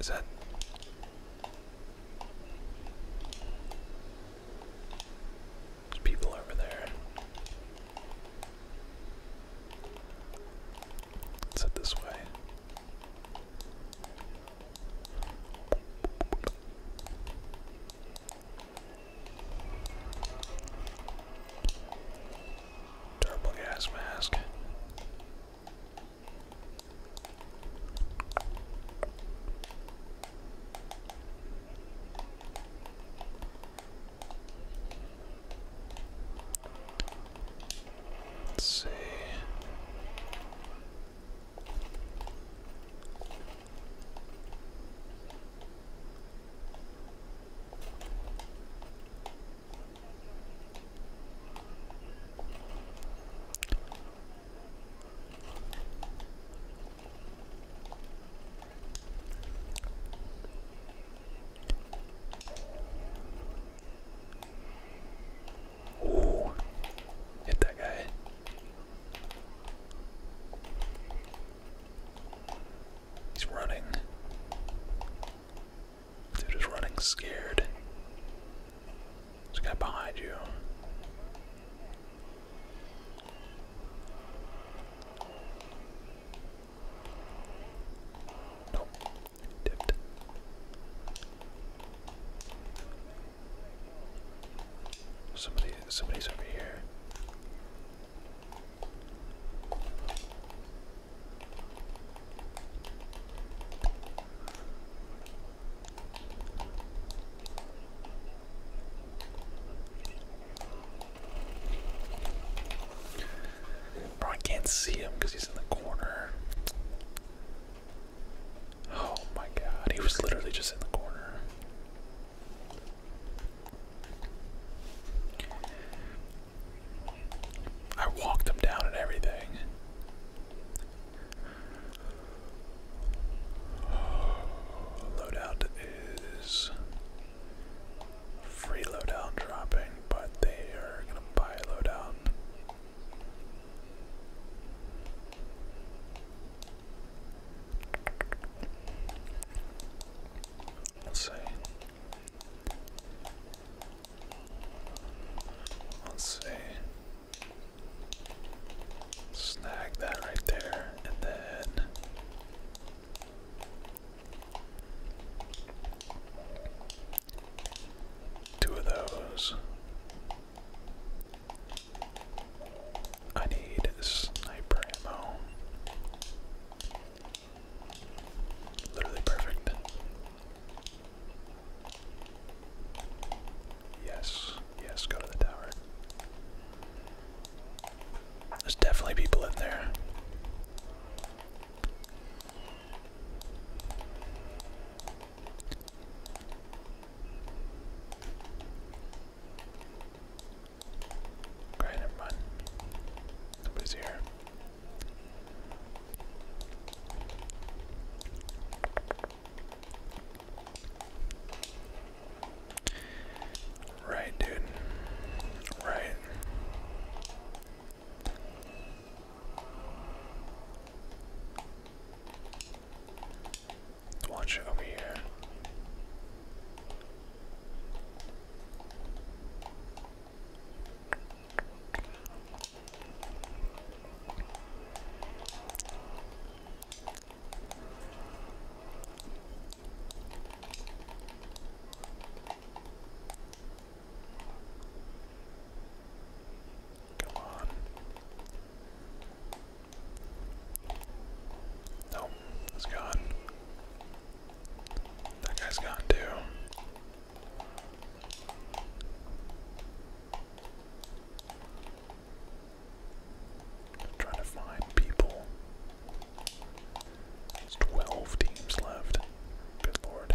Is that? There's people over there. Is it this way? Durable gas mask. Let's see. Ooh, hit that guy. He's running. Dude is running scared. There's guy behind you. Nope. Dipped. Somebody somebody's over here. Bro, I can't see him because he's in the corner. Oh my god, he was literally just in the corner. I walked them down and everything. Loadout is free loadout dropping, but they are gonna buy loadout. Let's see. Let's see. Snag that right there, and then two of those. I need sniper ammo. Literally perfect. Yes, yes, go to the tower. There's definitely people in there. Okay, Nobody's here. Right, dude. Right. Watch it over here. Come on. Nope, it's gone. That guy's gone too. trying to find people. There's 12 teams left. Good lord.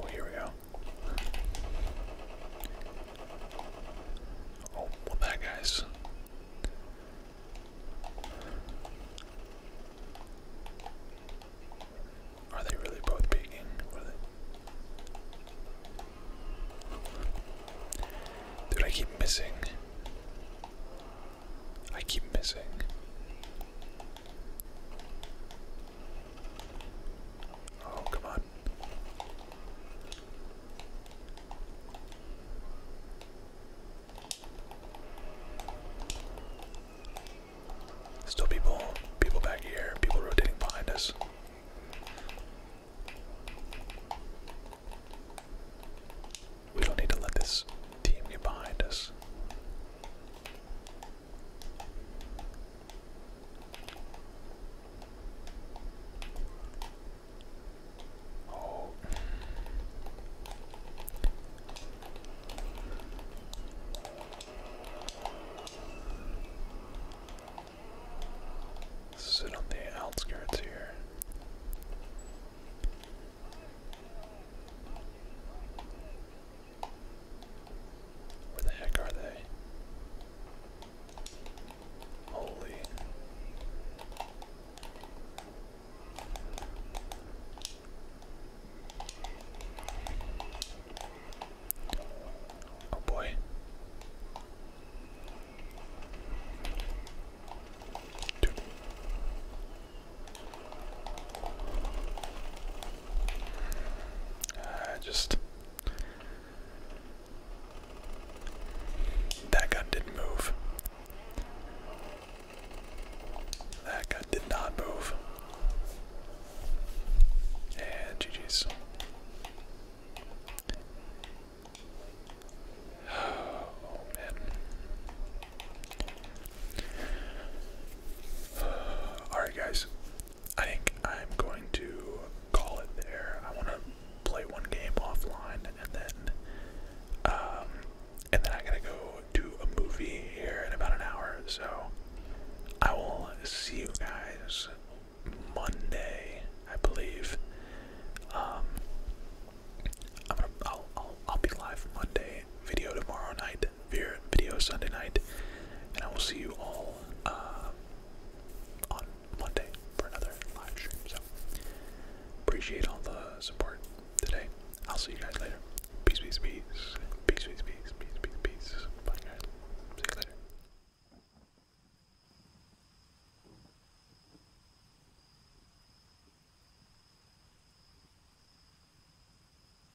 Oh, here we go. Oh, what that guys? Are they really both peeking? Dude, I keep missing. I keep missing. Oh, come on. Still people, people back here, people rotating behind us. We don't need to let this team get behind us. Oh. Sit on the outskirts here. Where the heck are they? Holy. Oh boy. Dude. Uh, just that gun didn't move. That gun did not move. And GG's. Oh man. Alright, guys. I think I'm going to call it there. I want to play one game offline, and then, um, and then I gotta go do a movie here in about an hour. So I will see you guys Monday, I believe. Um, I'll, I'll, I'll be live Monday. Video tomorrow night night, video Sunday night, and I will see you all uh, on Monday for another live stream. So appreciate all the support today. I'll see you guys later. Peace, peace, peace, peace, peace, peace, peace, peace, peace. Bye, guys. See you later.